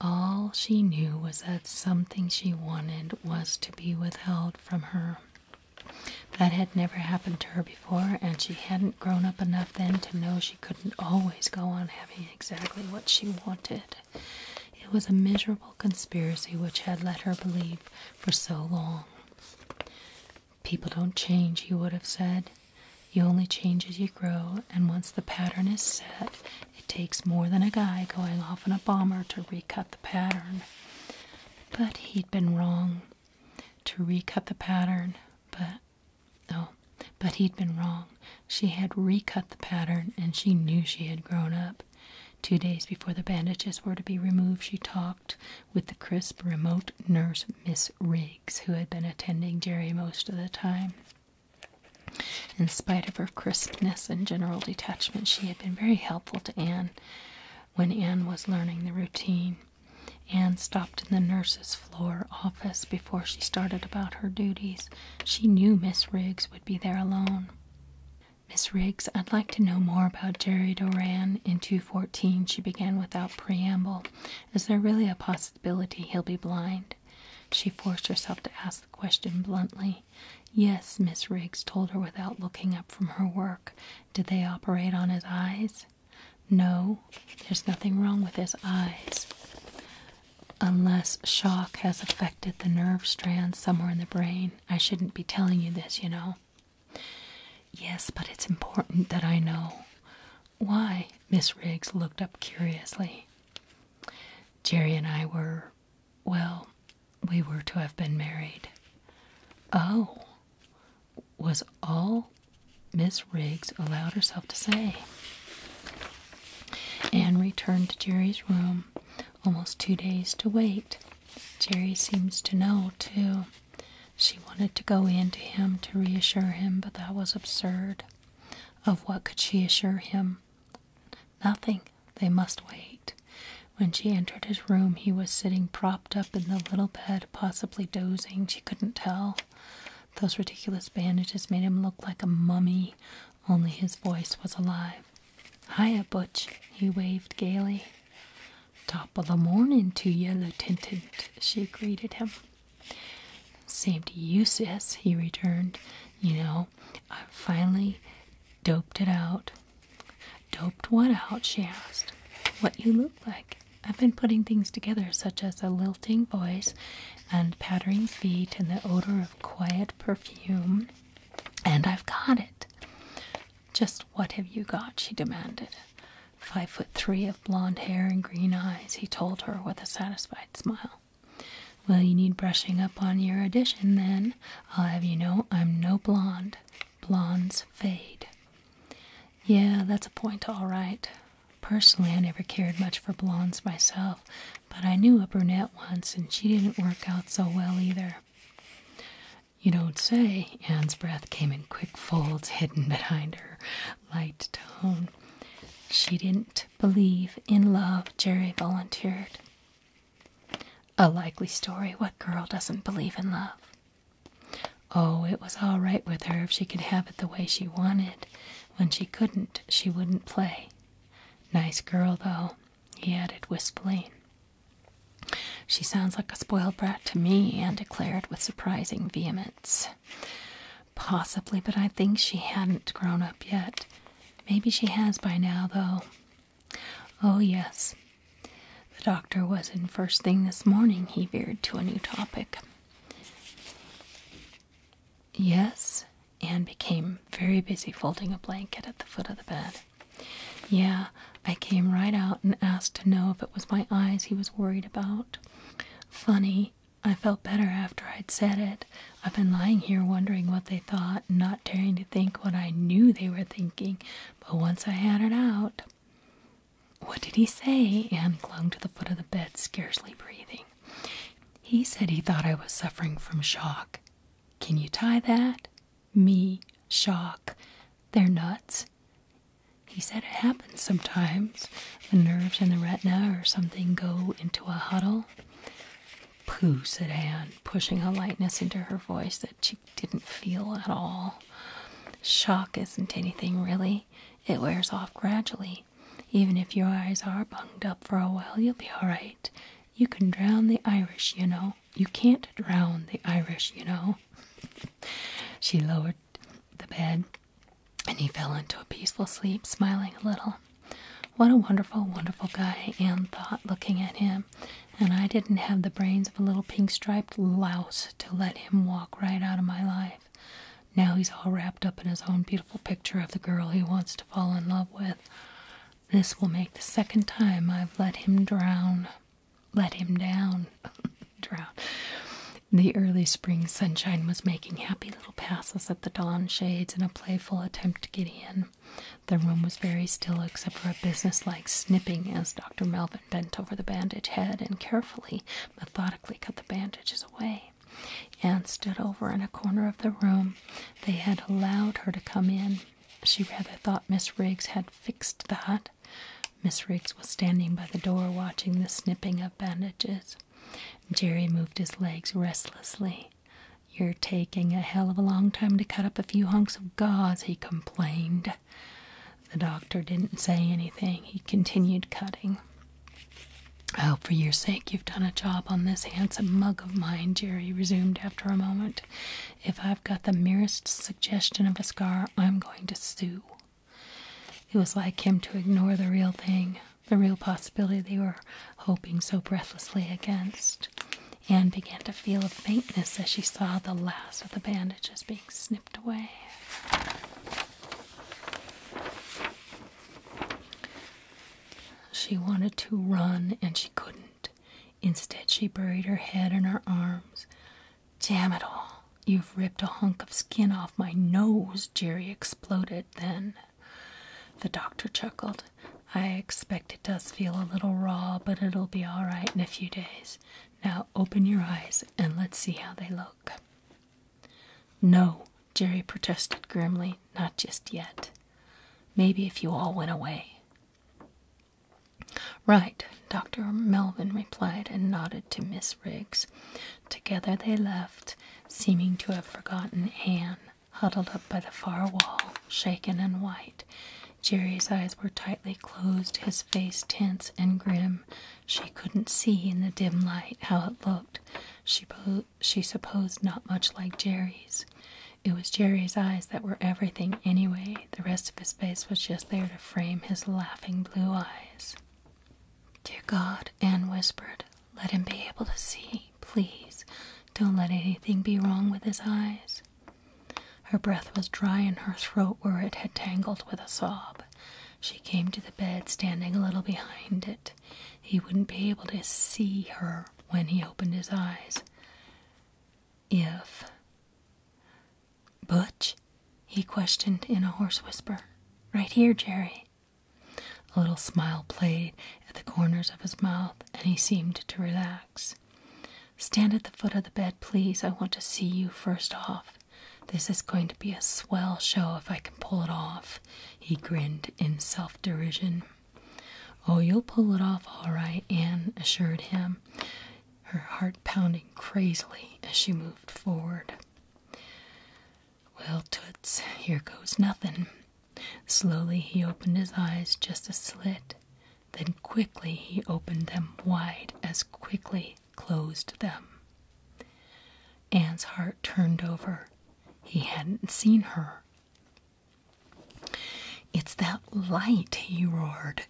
[SPEAKER 1] All she knew was that something she wanted was to be withheld from her. That had never happened to her before, and she hadn't grown up enough then to know she couldn't always go on having exactly what she wanted. It was a miserable conspiracy which had let her believe for so long. People don't change, he would have said. You only change as you grow, and once the pattern is set, it takes more than a guy going off in a bomber to recut the pattern. But he'd been wrong to recut the pattern, but oh, but he'd been wrong. She had recut the pattern and she knew she had grown up. Two days before the bandages were to be removed, she talked with the crisp, remote nurse, Miss Riggs, who had been attending Jerry most of the time. In spite of her crispness and general detachment, she had been very helpful to Anne when Anne was learning the routine. Anne stopped in the nurse's floor office before she started about her duties. She knew Miss Riggs would be there alone. Miss Riggs, I'd like to know more about Jerry Doran in 214, she began without preamble. Is there really a possibility he'll be blind? She forced herself to ask the question bluntly. Yes, Miss Riggs told her without looking up from her work. Did they operate on his eyes? No, there's nothing wrong with his eyes. Unless shock has affected the nerve strands somewhere in the brain. I shouldn't be telling you this, you know. Yes, but it's important that I know. Why? Miss Riggs looked up curiously. Jerry and I were, well, we were to have been married. Oh, was all Miss Riggs allowed herself to say. Anne returned to Jerry's room almost two days to wait. Jerry seems to know, too. She wanted to go in to him to reassure him, but that was absurd. Of what could she assure him? Nothing. They must wait. When she entered his room, he was sitting propped up in the little bed, possibly dozing. She couldn't tell. Those ridiculous bandages made him look like a mummy, only his voice was alive. Hiya, Butch, he waved gaily. Top o' the morning to you, Lieutenant, she greeted him. Seemed useless. he returned. You know, I finally doped it out. Doped what out? she asked. What you look like. I've been putting things together, such as a lilting voice and pattering feet and the odor of quiet perfume, and I've got it. Just what have you got? she demanded. Five foot three of blond hair and green eyes, he told her with a satisfied smile. Well, you need brushing up on your addition, then. I'll have you know I'm no blonde blondes fade. Yeah, that's a point, all right. Personally, I never cared much for blondes myself, but I knew a brunette once and she didn't work out so well either. You don't say, Anne's breath came in quick folds hidden behind her light tone. She didn't believe in love, Jerry volunteered. A likely story. What girl doesn't believe in love? Oh, it was all right with her if she could have it the way she wanted. When she couldn't, she wouldn't play. Nice girl, though, he added wistfully. She sounds like a spoiled brat to me, Anne declared with surprising vehemence. Possibly, but I think she hadn't grown up yet. Maybe she has by now, though. Oh, yes. The doctor was in first thing this morning. He veered to a new topic. Yes, Anne became very busy folding a blanket at the foot of the bed. Yeah, I came right out and asked to know if it was my eyes he was worried about. Funny, I felt better after I'd said it. I've been lying here wondering what they thought, not daring to think what I knew they were thinking but once I had it out, what did he say? Anne clung to the foot of the bed, scarcely breathing. He said he thought I was suffering from shock. Can you tie that? Me, shock. They're nuts. He said it happens sometimes. The nerves in the retina or something go into a huddle. Pooh, said Anne, pushing a lightness into her voice that. She didn't feel at all. Shock isn't anything really, it wears off gradually. Even if your eyes are bunged up for a while, you'll be all right. You can drown the Irish, you know. You can't drown the Irish, you know. she lowered the bed, and he fell into a peaceful sleep, smiling a little. What a wonderful, wonderful guy, Anne thought, looking at him and I didn't have the brains of a little pink striped louse to let him walk right out of my life. Now he's all wrapped up in his own beautiful picture of the girl he wants to fall in love with. This will make the second time I've let him drown. Let him down. drown. The early spring sunshine was making happy little passes at the dawn shades in a playful attempt to get in. The room was very still except for a businesslike snipping as Dr. Melvin bent over the bandaged head and carefully, methodically cut the bandages away. Anne stood over in a corner of the room. They had allowed her to come in. She rather thought Miss Riggs had fixed that. Miss Riggs was standing by the door watching the snipping of bandages. Jerry moved his legs restlessly. You're taking a hell of a long time to cut up a few hunks of gauze, he commented complained. The doctor didn't say anything. He continued cutting. I oh, hope for your sake, you've done a job on this handsome mug of mine, Jerry resumed after a moment. If I've got the merest suggestion of a scar, I'm going to sue. It was like him to ignore the real thing, the real possibility they were hoping so breathlessly against. Anne began to feel a faintness as she saw the last of the bandages being snipped away. She wanted to run and she couldn't. Instead, she buried her head in her arms. Damn it all. You've ripped a hunk of skin off my nose, Jerry exploded then. The doctor chuckled. I expected it does feel a little raw, but it'll be all right in a few days. Now open your eyes and let's see how they look. No, Jerry protested grimly, not just yet. Maybe if you all went away. Right, Dr. Melvin replied and nodded to Miss Riggs. Together they left, seeming to have forgotten Anne, huddled up by the far wall, shaken and white, Jerry's eyes were tightly closed, his face tense and grim. She couldn't see in the dim light how it looked. She, she supposed not much like Jerry's. It was Jerry's eyes that were everything anyway. The rest of his face was just there to frame his laughing blue eyes. Dear God, Anne whispered, let him be able to see, please. Don't let anything be wrong with his eyes. Her breath was dry in her throat where it had tangled with a sob. She came to the bed, standing a little behind it. He wouldn't be able to see her when he opened his eyes. If. Butch? he questioned in a hoarse whisper. Right here, Jerry. A little smile played at the corners of his mouth, and he seemed to relax. Stand at the foot of the bed, please. I want to see you first off. This is going to be a swell show if I can pull it off. He grinned in self derision. Oh, you'll pull it off all right, Anne assured him, her heart pounding crazily as she moved forward. Well, Toots, here goes nothing. Slowly he opened his eyes just a slit. Then quickly he opened them wide, as quickly closed them. Anne's heart turned over. He hadn't seen her. It's that light, he roared.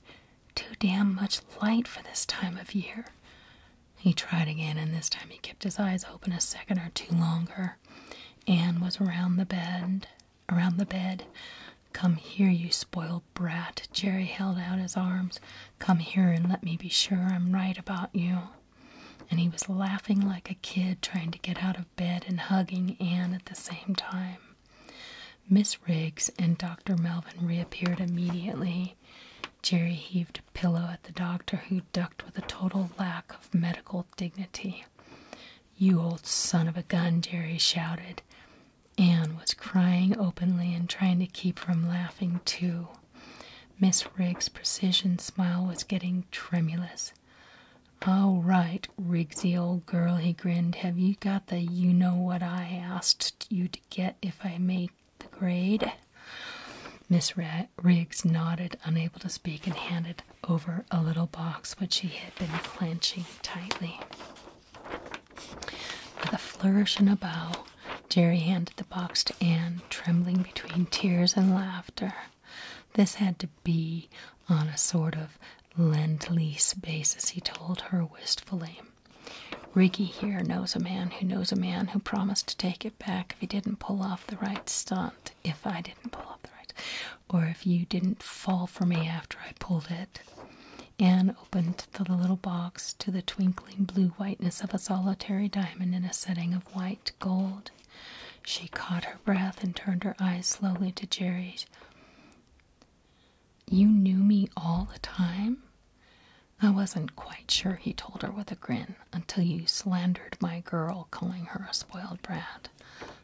[SPEAKER 1] Too damn much light for this time of year. He tried again, and this time he kept his eyes open a second or two longer. Anne was around the bend, around the bed. Come here, you spoiled brat. Jerry held out his arms. Come here and let me be sure I'm right about you. And he was laughing like a kid, trying to get out of bed and hugging Anne at the same time. Miss Riggs and Dr. Melvin reappeared immediately. Jerry heaved a pillow at the doctor, who ducked with a total lack of medical dignity. You old son of a gun, Jerry shouted. Anne was crying openly and trying to keep from laughing too. Miss Riggs' precision smile was getting tremulous. All right, Riggsy, old girl, he grinned. Have you got the you know what I asked you to get if I make the grade? Miss Riggs nodded, unable to speak, and handed over a little box which she had been clenching tightly. With a flourish and a bow, Jerry handed the box to Anne, trembling between tears and laughter. This had to be on a sort of lend lease basis, he told her wistfully. Ricky here knows a man who knows a man who promised to take it back if he didn't pull off the right stunt. If I didn't pull off the right, or if you didn't fall for me after I pulled it. Anne opened the little box to the twinkling blue whiteness of a solitary diamond in a setting of white gold. She caught her breath and turned her eyes slowly to Jerry's. You knew me all the time? I wasn't quite sure, he told her with a grin, until you slandered my girl, calling her a spoiled brat.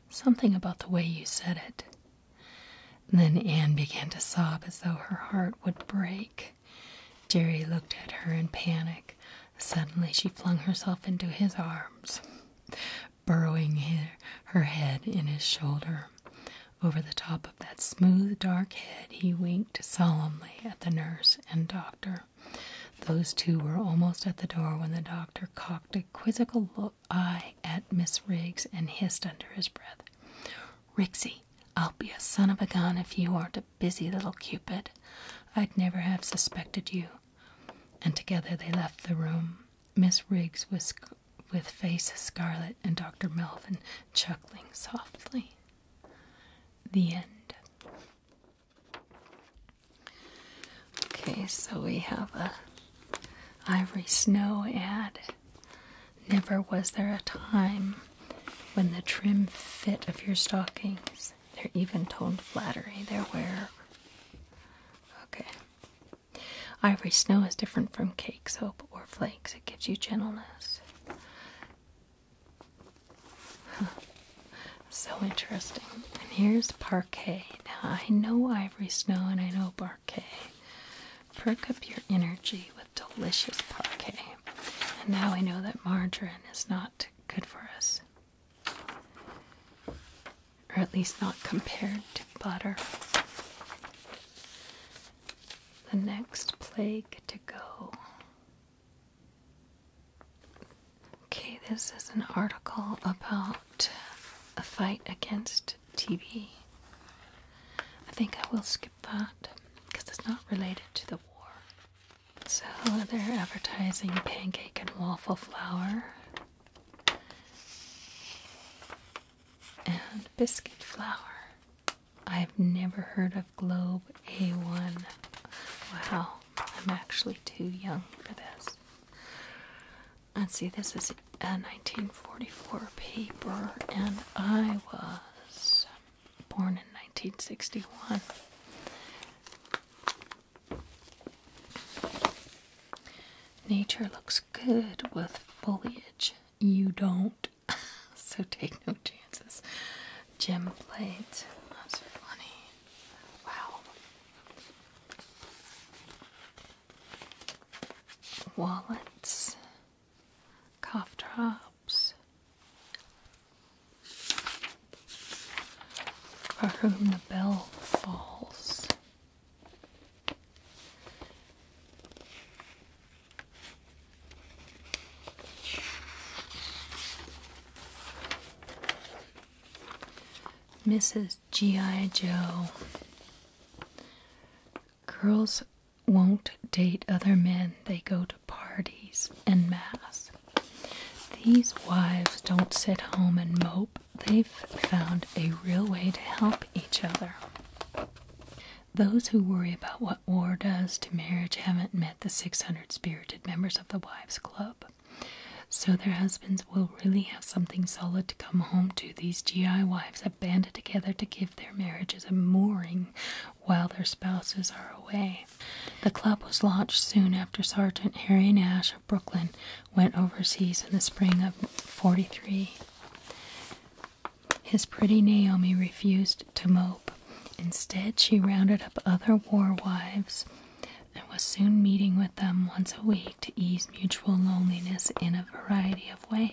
[SPEAKER 1] Something about the way you said it. Then Anne began to sob as though her heart would break. Jerry looked at her in panic. Suddenly, she flung herself into his arms, burrowing her, head in his shoulder. Over the top of that smooth, dark head, he winked solemnly at the nurse and doctor. Those two were almost at the door when the doctor cocked a quizzical look I at Miss Riggs and hissed under his breath, Rixie, I'll be a son of a gun if you aren't a busy little Cupid. I'd never have suspected you. And together they left the room, Miss Riggs was with face scarlet and Dr. Melvin chuckling softly. The end. Okay, so we have a Ivory Snow ad. Never was there a time when the trim fit of your stockings, their even toned flattery, their wear. Okay. Ivory snow is different from cake, soap, or flakes. It gives you gentleness. So interesting. And here's parquet. Now I know ivory snow and I know parquet, Perk up your energy with delicious parquet. And now I know that margarine is not good for us. Or at least not compared to butter. The next plague to go. Okay, this is an article about a fight against TV. I think I will skip that because it's not related to the war. So they're advertising pancake and waffle flour and biscuit flour. I've never heard of Globe A1. Wow, I'm actually too young for this let's see, this is a 1944 paper, and I was born in 1961. Nature looks good with foliage. You don't, so take no chances. Gem plates. That's funny. Wow wallets, cough drops, for whom the bell falls. Mrs. G.I. Joe, Girls won't date other men, they go to parties and mass. These wives don't sit home and mope, they've found a real way to help each other. Those who worry about what war does to marriage haven't met the 600 spirited members of the Wives Club. So their husbands will really have something solid to come home to. These GI wives banded together to give their marriages a mooring while their spouses are away. The club was launched soon after Sergeant Harry Nash of Brooklyn went overseas in the spring of 43. His pretty Naomi refused to mope. Instead, she rounded up other war wives and was soon meeting with them once a week to ease mutual loneliness in a variety of ways.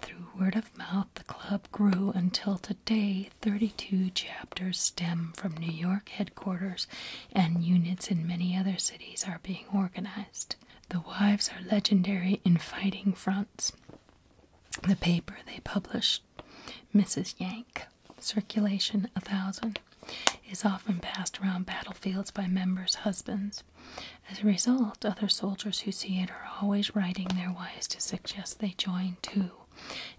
[SPEAKER 1] Through word of mouth, the club grew until today 32 chapters stem from New York headquarters, and units in many other cities are being organized. The wives are legendary in fighting fronts. The paper they published, Mrs. Yank, circulation a 1000, is often passed around battlefields by members' husbands as a result, other soldiers who see it are always writing their wives to suggest they join too.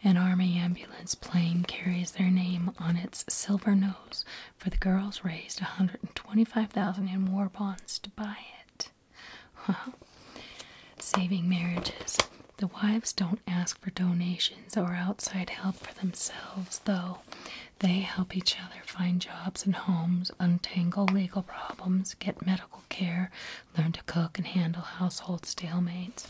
[SPEAKER 1] An army ambulance plane carries their name on its silver nose, for the girls raised a 125,000 in war bonds to buy it. Wow. Saving marriages. The wives don't ask for donations or outside help for themselves, though. They help each other find jobs and homes, untangle legal problems, get medical care, learn to cook and handle household stalemates.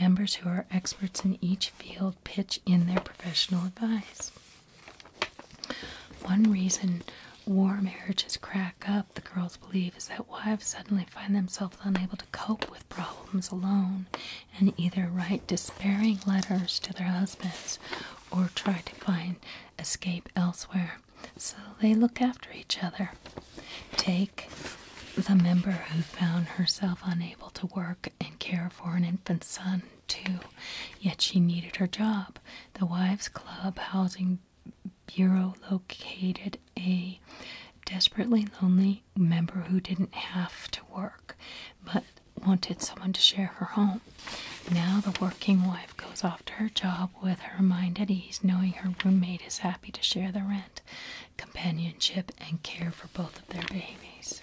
[SPEAKER 1] Members who are experts in each field pitch in their professional advice. One reason war marriages crack up, the girls believe, is that wives suddenly find themselves unable to cope with problems alone and either write despairing letters to their husbands or try to find escape elsewhere. So they look after each other. Take the member who found herself unable to work and care for an infant son, too, yet she needed her job. The Wives Club Housing Bureau located a desperately lonely member who didn't have to work but wanted someone to share her home. Now the working wife goes off to her job with her mind at ease, knowing her roommate is happy to share the rent, companionship, and care for both of their babies.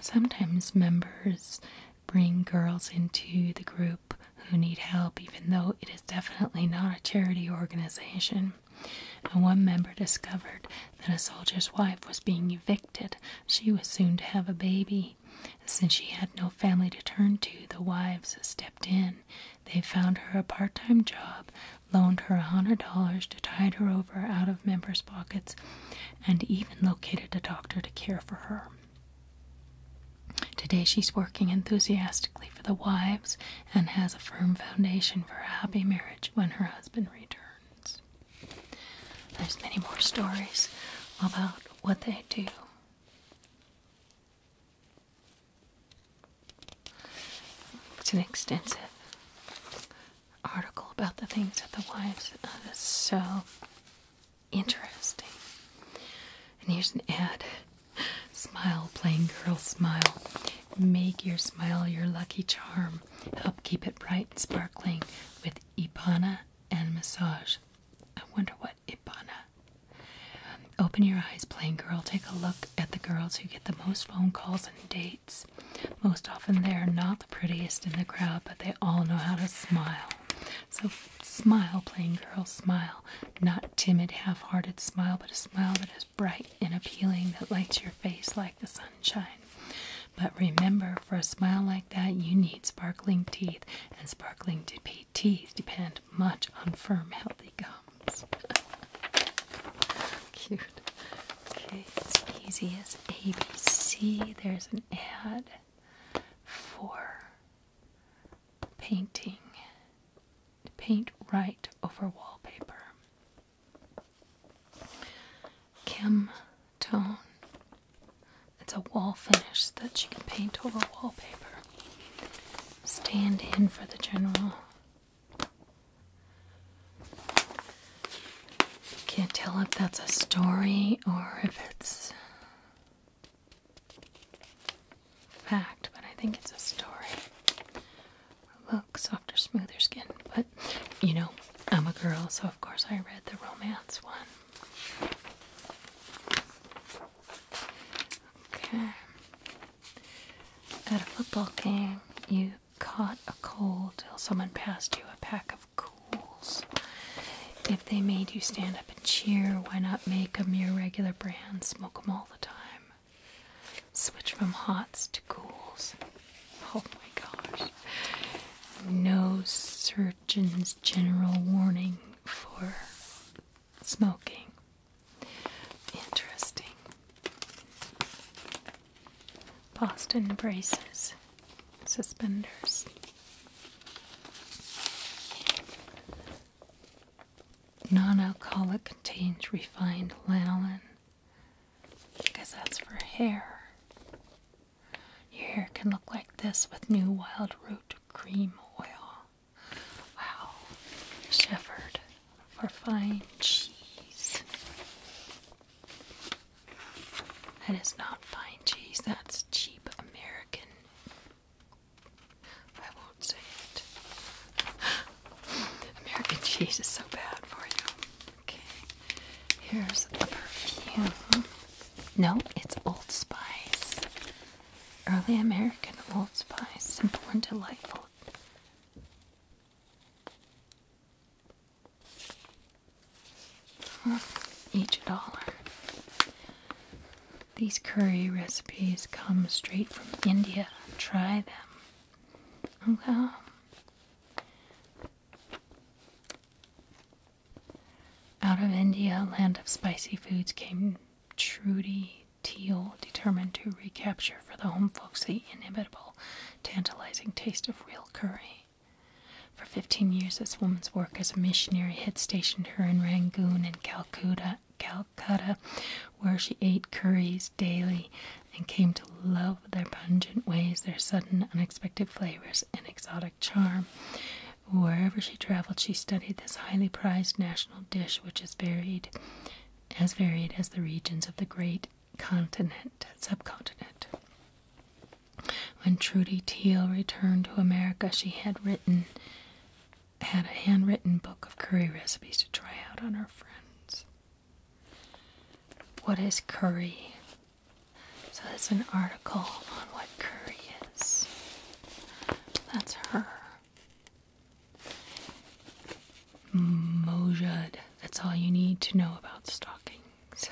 [SPEAKER 1] Sometimes members bring girls into the group who need help, even though it is definitely not a charity organization. And one member discovered that a soldier's wife was being evicted. She was soon to have a baby since she had no family to turn to, the wives stepped in. They found her a part time job, loaned her a hundred dollars to tide her over out of members' pockets, and even located a doctor to care for her. Today she's working enthusiastically for the wives and has a firm foundation for a happy marriage when her husband returns. There's many more stories about what they do it's an extensive article about the things that the wives. Oh, that's so interesting. And here's an ad Smile, playing girl, smile. Make your smile your lucky charm. Help keep it bright and sparkling with Ipana and massage. I wonder what Ipana. Open your eyes, plain girl. Take a look at the girls who get the most phone calls and dates. Most often they are not the prettiest in the crowd, but they all know how to smile. So smile, plain girl, smile. Not timid, half hearted smile, but a smile that is bright and appealing, that lights your face like the sunshine. But remember, for a smile like that, you need sparkling teeth, and sparkling teeth depend much on firm, healthy gums. Cute. Okay, it's easy as ABC. There's an ad for painting. Paint right over wallpaper. Kim Tone it's a wall finish that you can paint over wallpaper. Stand in for the general. Can't tell if that's a story or if it's fact, but I think it's a story. Look, softer, smoother skin. But, you know, I'm a girl, so of course I read the romance one. Okay. At a football game, you caught a cold till someone passed you a pack of cools. If they made you stand up and cheer, why not make a mere regular brand? smoke them all the time. Switch from hots to cools. Oh my gosh. No sir general warning for smoking. Interesting. Boston braces, suspenders. Non alcoholic contains refined lanolin. Because that's for hair. Your hair can look like this with new wild root cream oil. Wow, Shepherd for fine cheese. That is not fine cheese, that's cheap American. I won't say it. American cheese is so bad for you. Okay, here's a perfume. No, it's Old Spice. Early American Old spice, simple and delightful. Each dollar. These curry recipes come straight from India. Try them. Well, out of India, land of spicy foods, came Trudy Teal, determined to recapture for the home folks the inimitable, tantalizing taste of real curry. For 15 years, this woman's work as a missionary had stationed her in Rangoon and Calcutta, Calcutta, where she ate curries daily and came to love their pungent ways, their sudden, unexpected flavors, and exotic charm. Wherever she traveled, she studied this highly prized national dish, which is varied, as varied as the regions of the great continent, subcontinent. When Trudy Teal returned to America, she had written, had a handwritten book of curry recipes to try out on her friends. What is curry? So there's an article on what curry is. That's her. Mojad. That's all you need to know about stockings.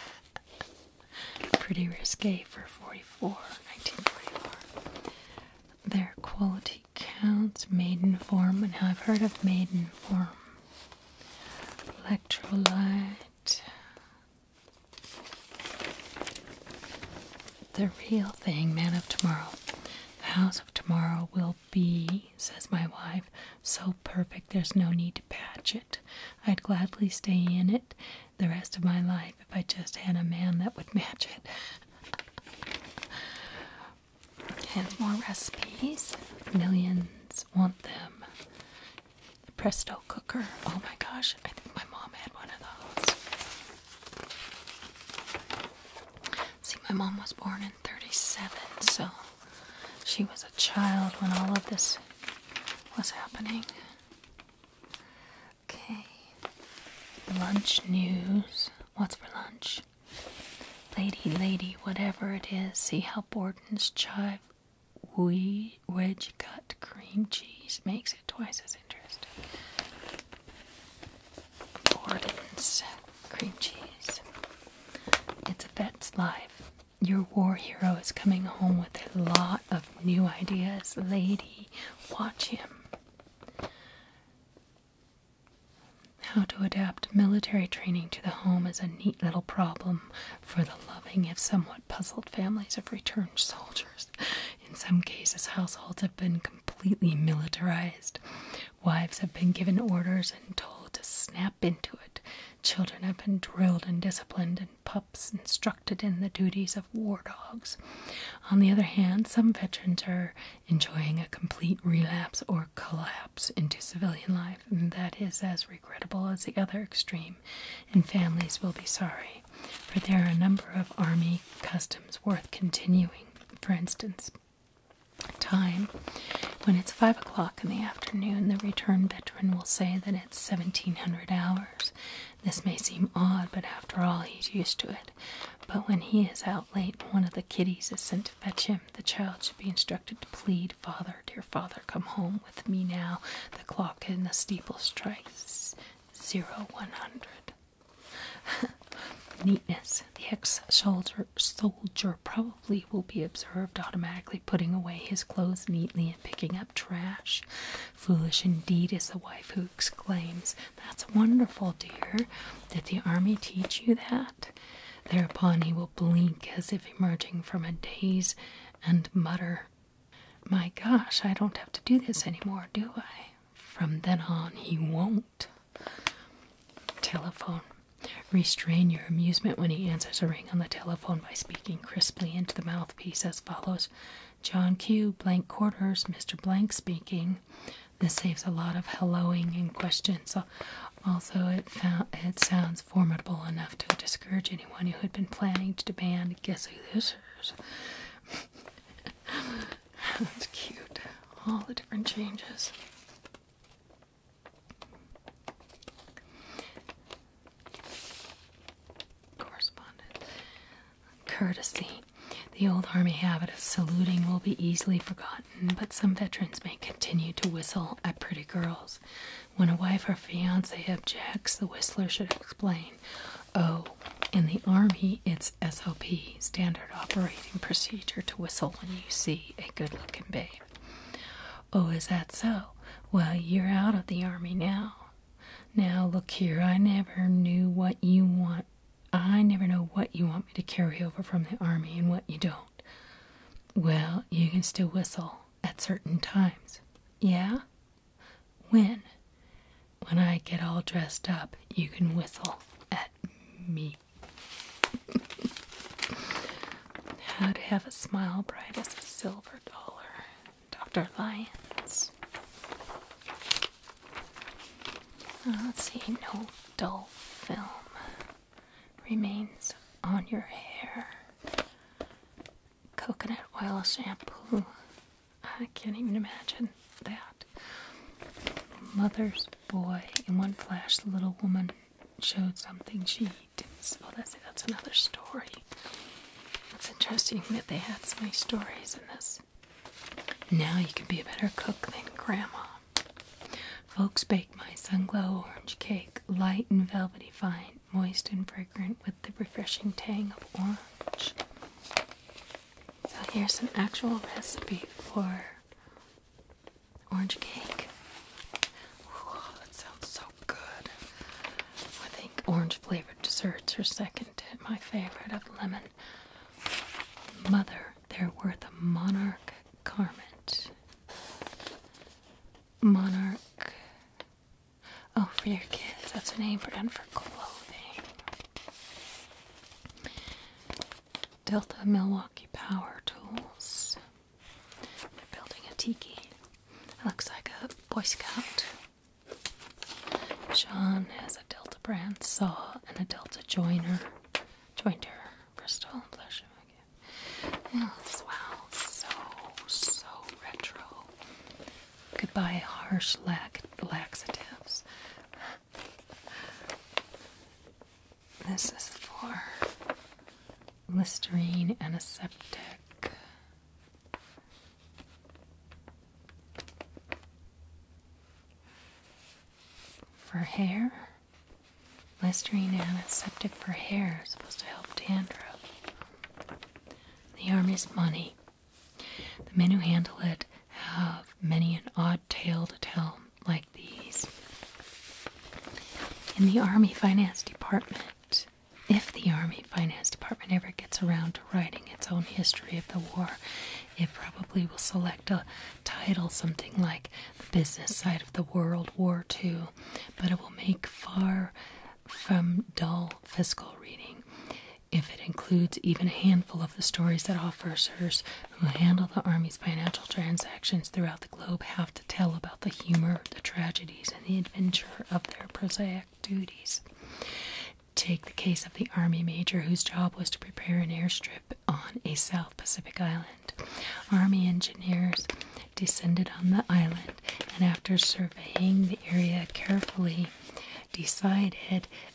[SPEAKER 1] Pretty risque for 44, 1944. Their quality counts, maiden form, and I've heard of maiden form. Electrolyte, the real thing, man of tomorrow. The house of tomorrow will be, says my wife, so perfect there's no need to patch it. I'd gladly stay in it the rest of my life if I just had a man that would match it. and more recipes. Millions want them. The Presto cooker. Oh my gosh, I think my mom had one of those. See, my mom was born in 37, so she was a child when all of this was happening. Okay. Lunch news. What's for lunch? Lady, lady, whatever it is, see how Borden's chive wheeze wedge cut cream cheese makes it twice as interesting. Gordon's cream cheese. It's a vet's life. Your war hero is coming home with a lot of new ideas. Lady, watch him. How to adapt military training to the home is a neat little problem for the loving, if somewhat puzzled, families of returned soldiers. In some cases, households have been completely militarized. Wives have been given orders and told to snap into it. Children have been drilled and disciplined, and pups instructed in the duties of war dogs. On the other hand, some veterans are enjoying a complete relapse or collapse into civilian life, and that is as regrettable as the other extreme, and families will be sorry for there are a number of army customs worth continuing. For instance, time when it's five o'clock in the afternoon, the returned veteran will say that it's 1700 hours. This may seem odd, but after all, he's used to it. But when he is out late one of the kiddies is sent to fetch him, the child should be instructed to plead, Father, dear father, come home with me now. The clock in the steeple strikes zero one hundred. Neatness. The ex soldier soldier probably will be observed automatically putting away his clothes neatly and picking up trash. Foolish indeed is the wife who exclaims, That's wonderful, dear. Did the army teach you that? Thereupon he will blink as if emerging from a daze and mutter my gosh, I don't have to do this anymore, do I? From then on, he won't. Telephone. Restrain your amusement when he answers a ring on the telephone by speaking crisply into the mouthpiece as follows John Q. Blank Mr. Blank speaking. This saves a lot of helloing and questions. Also, it, it sounds formidable enough to discourage anyone who had been planning to demand guess who this that's cute. All the different changes. Correspondent. Courtesy. The old army habit of saluting will be easily forgotten, but some veterans may continue to whistle at pretty girls. When a wife or fiance objects, the whistler should explain Oh, in the Army, it's SOP, Standard Operating Procedure, to whistle when you see a good looking babe. Oh, is that so? Well, you're out of the Army now. Now, look here, I never knew what you want. I never know what you want me to carry over from the Army and what you don't. Well, you can still whistle at certain times. Yeah? When? When I get all dressed up, you can whistle at me. How to have a smile bright as a silver dollar. Dr. Lyons. Uh, let's see, no dull film remains on your hair. Coconut oil shampoo I can't even imagine that. Mother's boy in one flash the little woman showed something she didn't well oh, that's another story. It's interesting that they had so many stories in this. Now you can be a better cook than grandma. Folks bake my sun glow orange cake, light and velvety fine, moist and fragrant with the refreshing tang of orange. So here's an actual recipe for orange cake. Ooh, that sounds so good. I think orange flavored desserts are second to my favorite of lemon. Mother, they're worth a monarch garment. Monarch Oh, for your kids. That's a name for brand for clothing. Delta Milwaukee Power Tools. They're building a tiki. It looks like a Boy Scout. Sean has a Delta brand saw and a Delta joiner. Jointer. Bristol. Blush. wow. So, so retro. Goodbye, harsh lack laxatives. This is for Listerine antiseptic. For hair, Listerine antiseptic for hair is supposed to help dandruff. The army's money the men who handle it have many an odd tale to tell, like these. In the Army Finance Department, if the Army Finance Department ever gets around to writing its own history of the war, it probably will select a title something like The Business Side of the World War II, but it will make far from dull fiscal reading if it includes even a handful of the stories that officers who handle the Army's financial transactions throughout the globe have to tell about the humor, the tragedies, and the adventure of their prosaic duties. Take the case of the Army major whose job was to prepare an airstrip on a South Pacific island. Army engineers descended on the island and, after surveying the area carefully, decided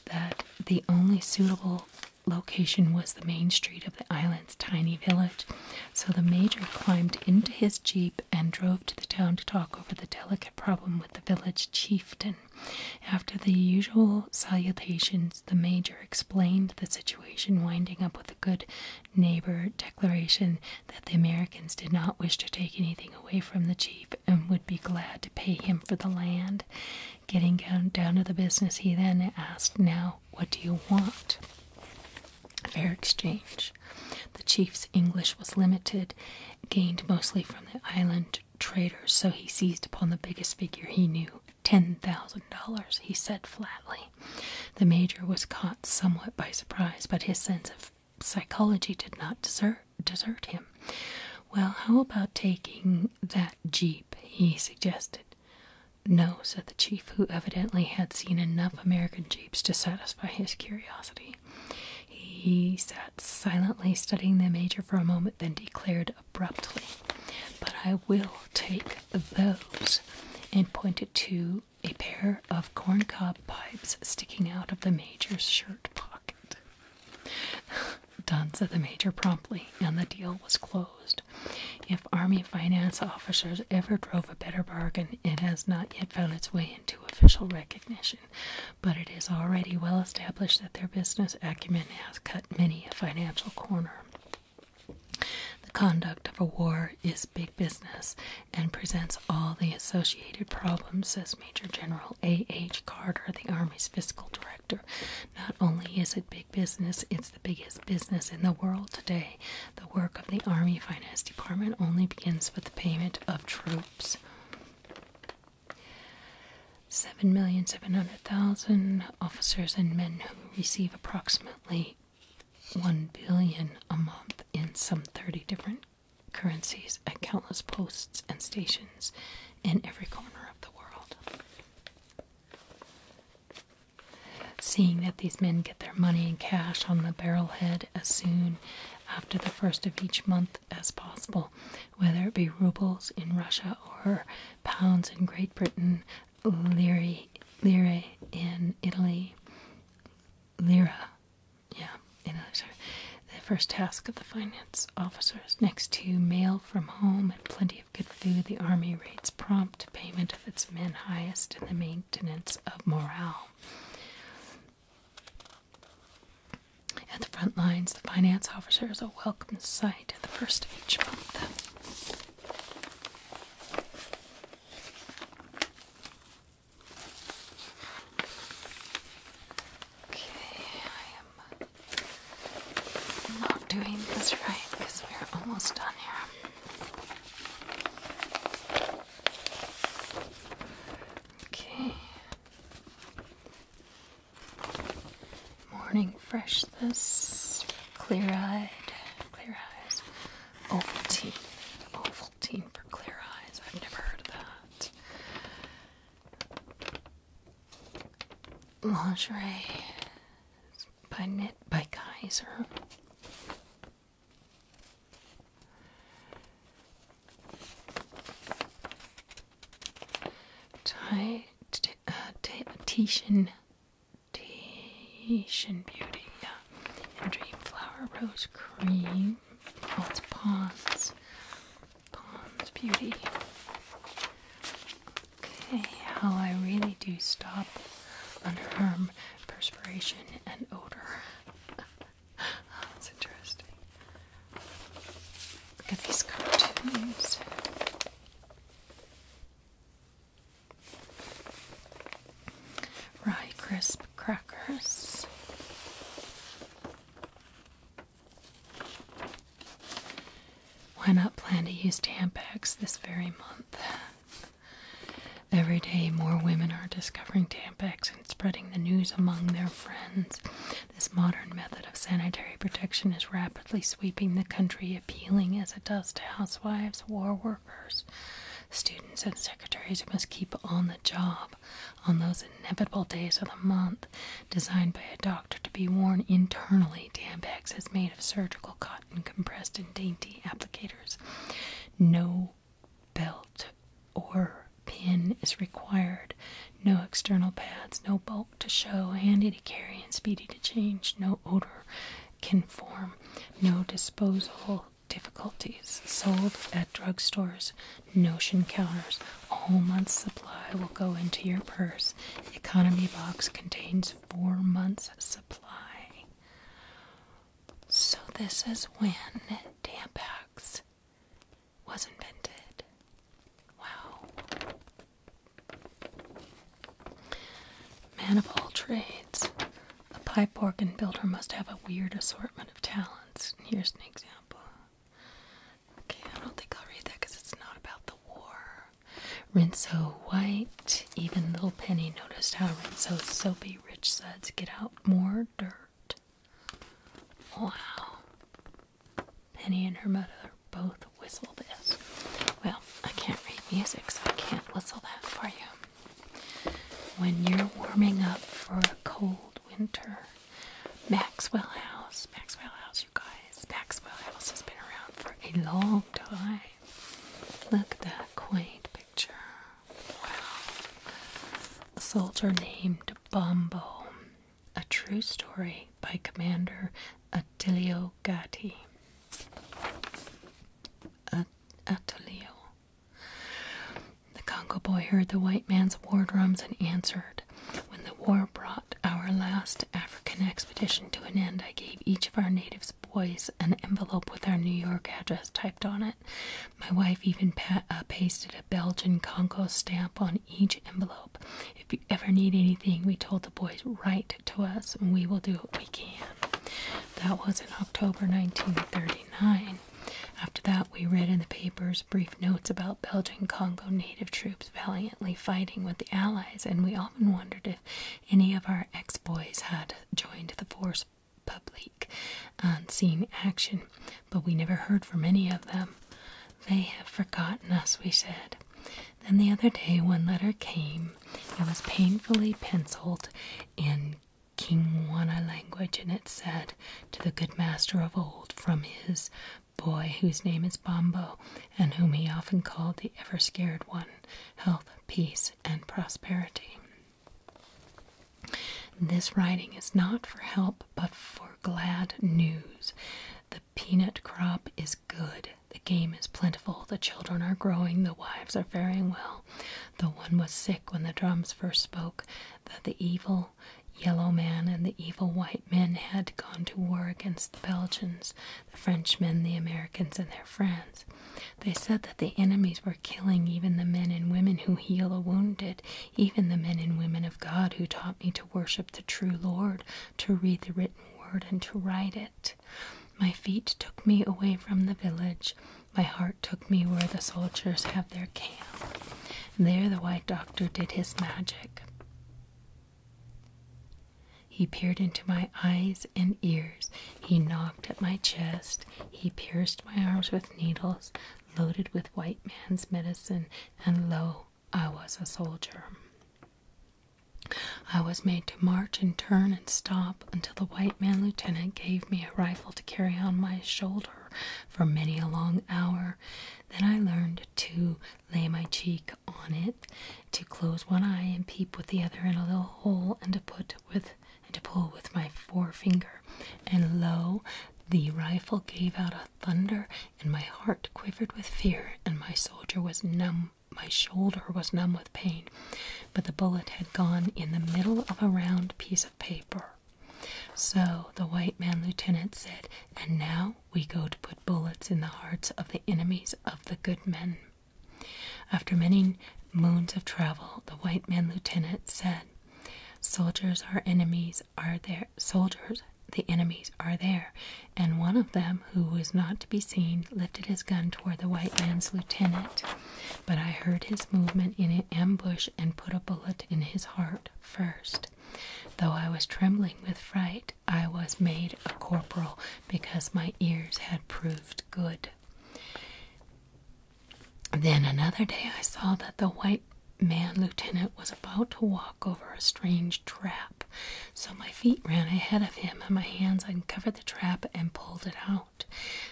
[SPEAKER 1] that the only suitable location was the main street of the island's tiny village. So the major climbed into his jeep and drove to the town to talk over the delicate problem with the village chieftain. After the usual salutations, the major explained the situation, winding up with a good neighbor declaration that the Americans did not wish to take anything away from the chief and would be glad to pay him for the land. Getting down, to the business, he then asked, Now, what do you want? Fair exchange. The chief's English was limited, gained mostly from the island traders, so he seized upon the biggest figure he knew. Ten thousand dollars, he said flatly. The major was caught somewhat by surprise, but his sense of psychology did not desert desert him. Well, how about taking that jeep? he suggested. No, said the chief, who evidently had seen enough American jeeps to satisfy his curiosity. He sat silently studying the major for a moment, then declared abruptly, But I will take those, and pointed to a pair of corncob pipes sticking out of the major's shirt pocket. Done," said the major promptly, and the deal was closed. If Army finance officers ever drove a better bargain, it has not yet found its way into official recognition, but it is already well established that their business acumen has cut many a financial corner. The conduct of a war is big business and presents all the associated problems, says Major General A. H. Carter, the Army's fiscal director. Not only is it big business, it's the biggest business in the world today. The work of the Army Finance Department only begins with the payment of troops. 7,700,000 officers and men who receive approximately 1 billion a month in some 30 different currencies at countless posts and stations in every corner of the world. Seeing that these men get their money in cash on the barrelhead as soon after the first of each month as possible, whether it be rubles in Russia or pounds in Great Britain, lire, lire in Italy, lira, yeah, and others are the first task of the finance officers next to mail from home and plenty of good food the army rates prompt payment of its men highest in the maintenance of morale at the front lines the finance officer is a welcome sight at the first of each month Okay, I am not doing this right because we're almost done here. Okay. Morning freshness, clear eyed clear eyes. Ovaltine. Ovaltine for clear eyes. I've never heard of that. Lingerie by Knit by Kaiser. Ti uh, Titian, Beauty, yeah. And Dreamflower Rose Cream, false ponds, Pond's Beauty. Okay, how I really do stop underarm perspiration and odor. That's interesting. Look at these cartoons. Rye crisp crackers. Why not plan to use Tampons this very month? Every day, more women are discovering Tampons and spreading the news among their friends. This modern method of sanitary protection is rapidly sweeping the country, appealing as it does to housewives, war workers, students, and secretaries who must keep on the job on those inevitable days of the month designed by a doctor to be worn internally. Tampax is made of surgical cotton compressed in dainty applicators. No belt or pin is required. No external pads, no bulk to show, handy to carry and speedy to change. No odor can form. No disposal difficulties. Sold at drugstores notion counters. A whole month's supply will go into your purse. The economy box contains four months' supply. So, this is when Tampax was invented. Wow. Man of all trades, a pipe organ builder must have a weird assortment of talents. Here's an example Okay, I don't think I'll read that because it's not about the war. Rinso White. Even Little Penny noticed how Rinso's soapy rich suds get out more dirt. Wow. Penny and her mother both whistle this. Well, I can't read music, so I can't whistle that for you. When you're warming up for a cold winter. Maxwell House, Maxwell House, you guys. Maxwell House has been around for a long time. Look at that quaint picture. Wow. A soldier named Bombo. A true story by Commander Attilio Gatti. At Attilio. The Congo boy heard the white man's war drums and answered. When the war brought our last African expedition to an end, I gave each of our natives boys an envelope with our New York address typed on it. My wife even uh, pasted a Belgian Congo stamp on each envelope. If you ever need anything, we told the boys, write to us and we will do what we can. That was in October 1939. After that, we read in the papers brief notes about Belgian Congo native troops valiantly fighting with the Allies, and we often wondered if any of our ex boys had joined the force publique on seeing action, but we never heard from any of them. They have forgotten us, we said. Then the other day, one letter came. It was painfully penciled in King Wana language, and it said, To the good master of old, from his boy whose name is Bombo and whom he often called the ever scared one health, peace, and prosperity. This writing is not for help but for glad news. The peanut crop is good. The game is plentiful. The children are growing. The wives are faring well. The one was sick when the drums first spoke, that the evil yellow man and the evil white men had gone to war against the Belgians, the Frenchmen, the Americans, and their friends. They said that the enemies were killing even the men and women who heal the wounded, even the men and women of God who taught me to worship the true Lord, to read the written word, and to write it. My feet took me away from the village. My heart took me where the soldiers have their camp. There the white doctor did his magic. He peered into my eyes and ears. He knocked at my chest. He pierced my arms with needles, loaded with white man's medicine, and lo, I was a soldier. I was made to march and turn and stop until the white man lieutenant gave me a rifle to carry on my shoulder for many a long hour. Then I learned to lay my cheek on it, to close one eye and peep with the other in a little hole, and to put with and to pull with my forefinger. And lo, the rifle gave out a thunder, and my heart quivered with fear, and my soldier was numb. My shoulder was numb with pain, but the bullet had gone in the middle of a round piece of paper. So the white man lieutenant said, And now we go to put bullets in the hearts of the enemies of the good men. After many moons of travel, the white man lieutenant said, Soldiers our enemies are there soldiers the enemies are there, and one of them, who was not to be seen, lifted his gun toward the white man's lieutenant. But I heard his movement in an ambush and put a bullet in his heart first. Though I was trembling with fright, I was made a corporal because my ears had proved good. Then another day I saw that the white man lieutenant was about to walk over a strange trap, so my feet ran ahead of him and my hands uncovered the trap and pulled it out.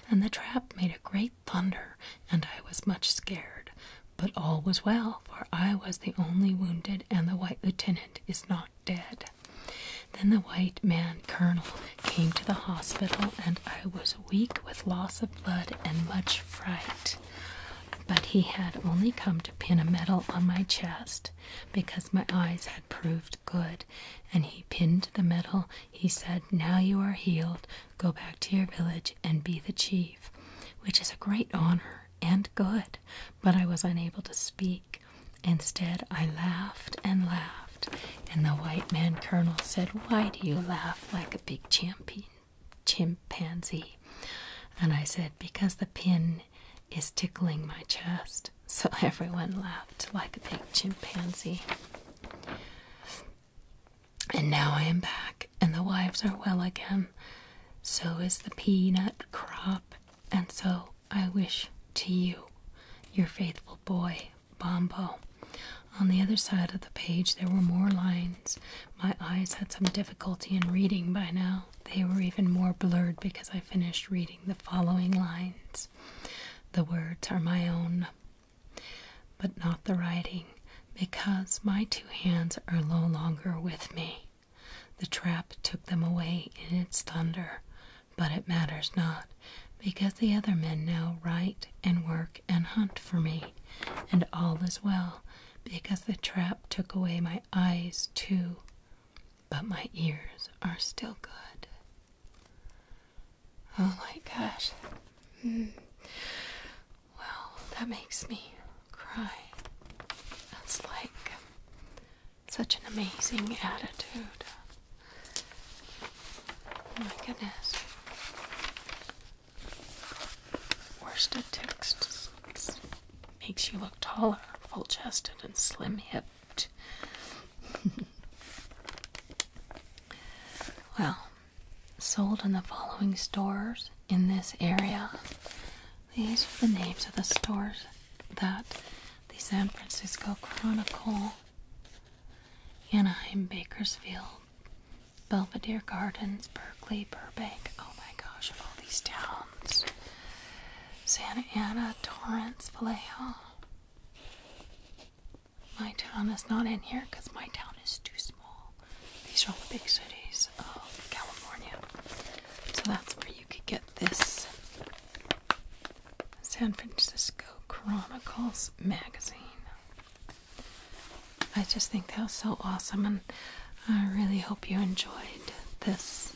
[SPEAKER 1] And the trap made a great thunder, and I was much scared. But all was well, for I was the only wounded, and the white lieutenant is not dead. Then the white man colonel came to the hospital, and I was weak with loss of blood and much fright. But he had only come to pin a medal on my chest because my eyes had proved good, and he pinned the medal. He said, Now you are healed, go back to your village and be the chief, which is a great honor and good, but I was unable to speak. Instead, I laughed and laughed, and the white man colonel said, Why do you laugh like a big champion, chimpanzee? And I said, Because the pin is tickling my chest. So everyone laughed like a big chimpanzee. And now I am back, and the wives are well again. So is the peanut crop, and so I wish to you, your faithful boy, Bombo. On the other side of the page, there were more lines. My eyes had some difficulty in reading by now. They were even more blurred because I finished reading the following lines. The words are my own, but not the writing, because my two hands are no longer with me. The trap took them away in its thunder, but it matters not, because the other men now write and work and hunt for me, and all is well, because the trap took away my eyes too, but my ears are still good. Oh my gosh. Hmm. Well, that makes me cry. That's like such an amazing attitude. Oh my goodness. Worsted text makes you look taller, full chested, and slim hipped. well, sold in the following stores in this area these are the names of the stores that the San Francisco Chronicle, Anaheim, Bakersfield, Belvedere Gardens, Berkeley, Burbank. Oh my gosh, all these towns. Santa Ana, Torrance, Vallejo. My town is not in here because my town is too small. These are all the big cities of California. So that's where you could get this San Francisco Chronicles magazine. I just think that was so awesome, and I really hope you enjoyed this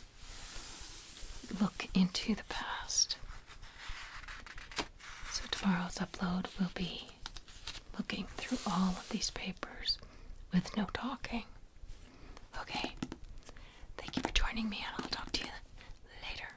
[SPEAKER 1] look into the past. So, tomorrow's upload will be looking through all of these papers with no talking. Okay. Thank you for joining me, and I'll talk to you later.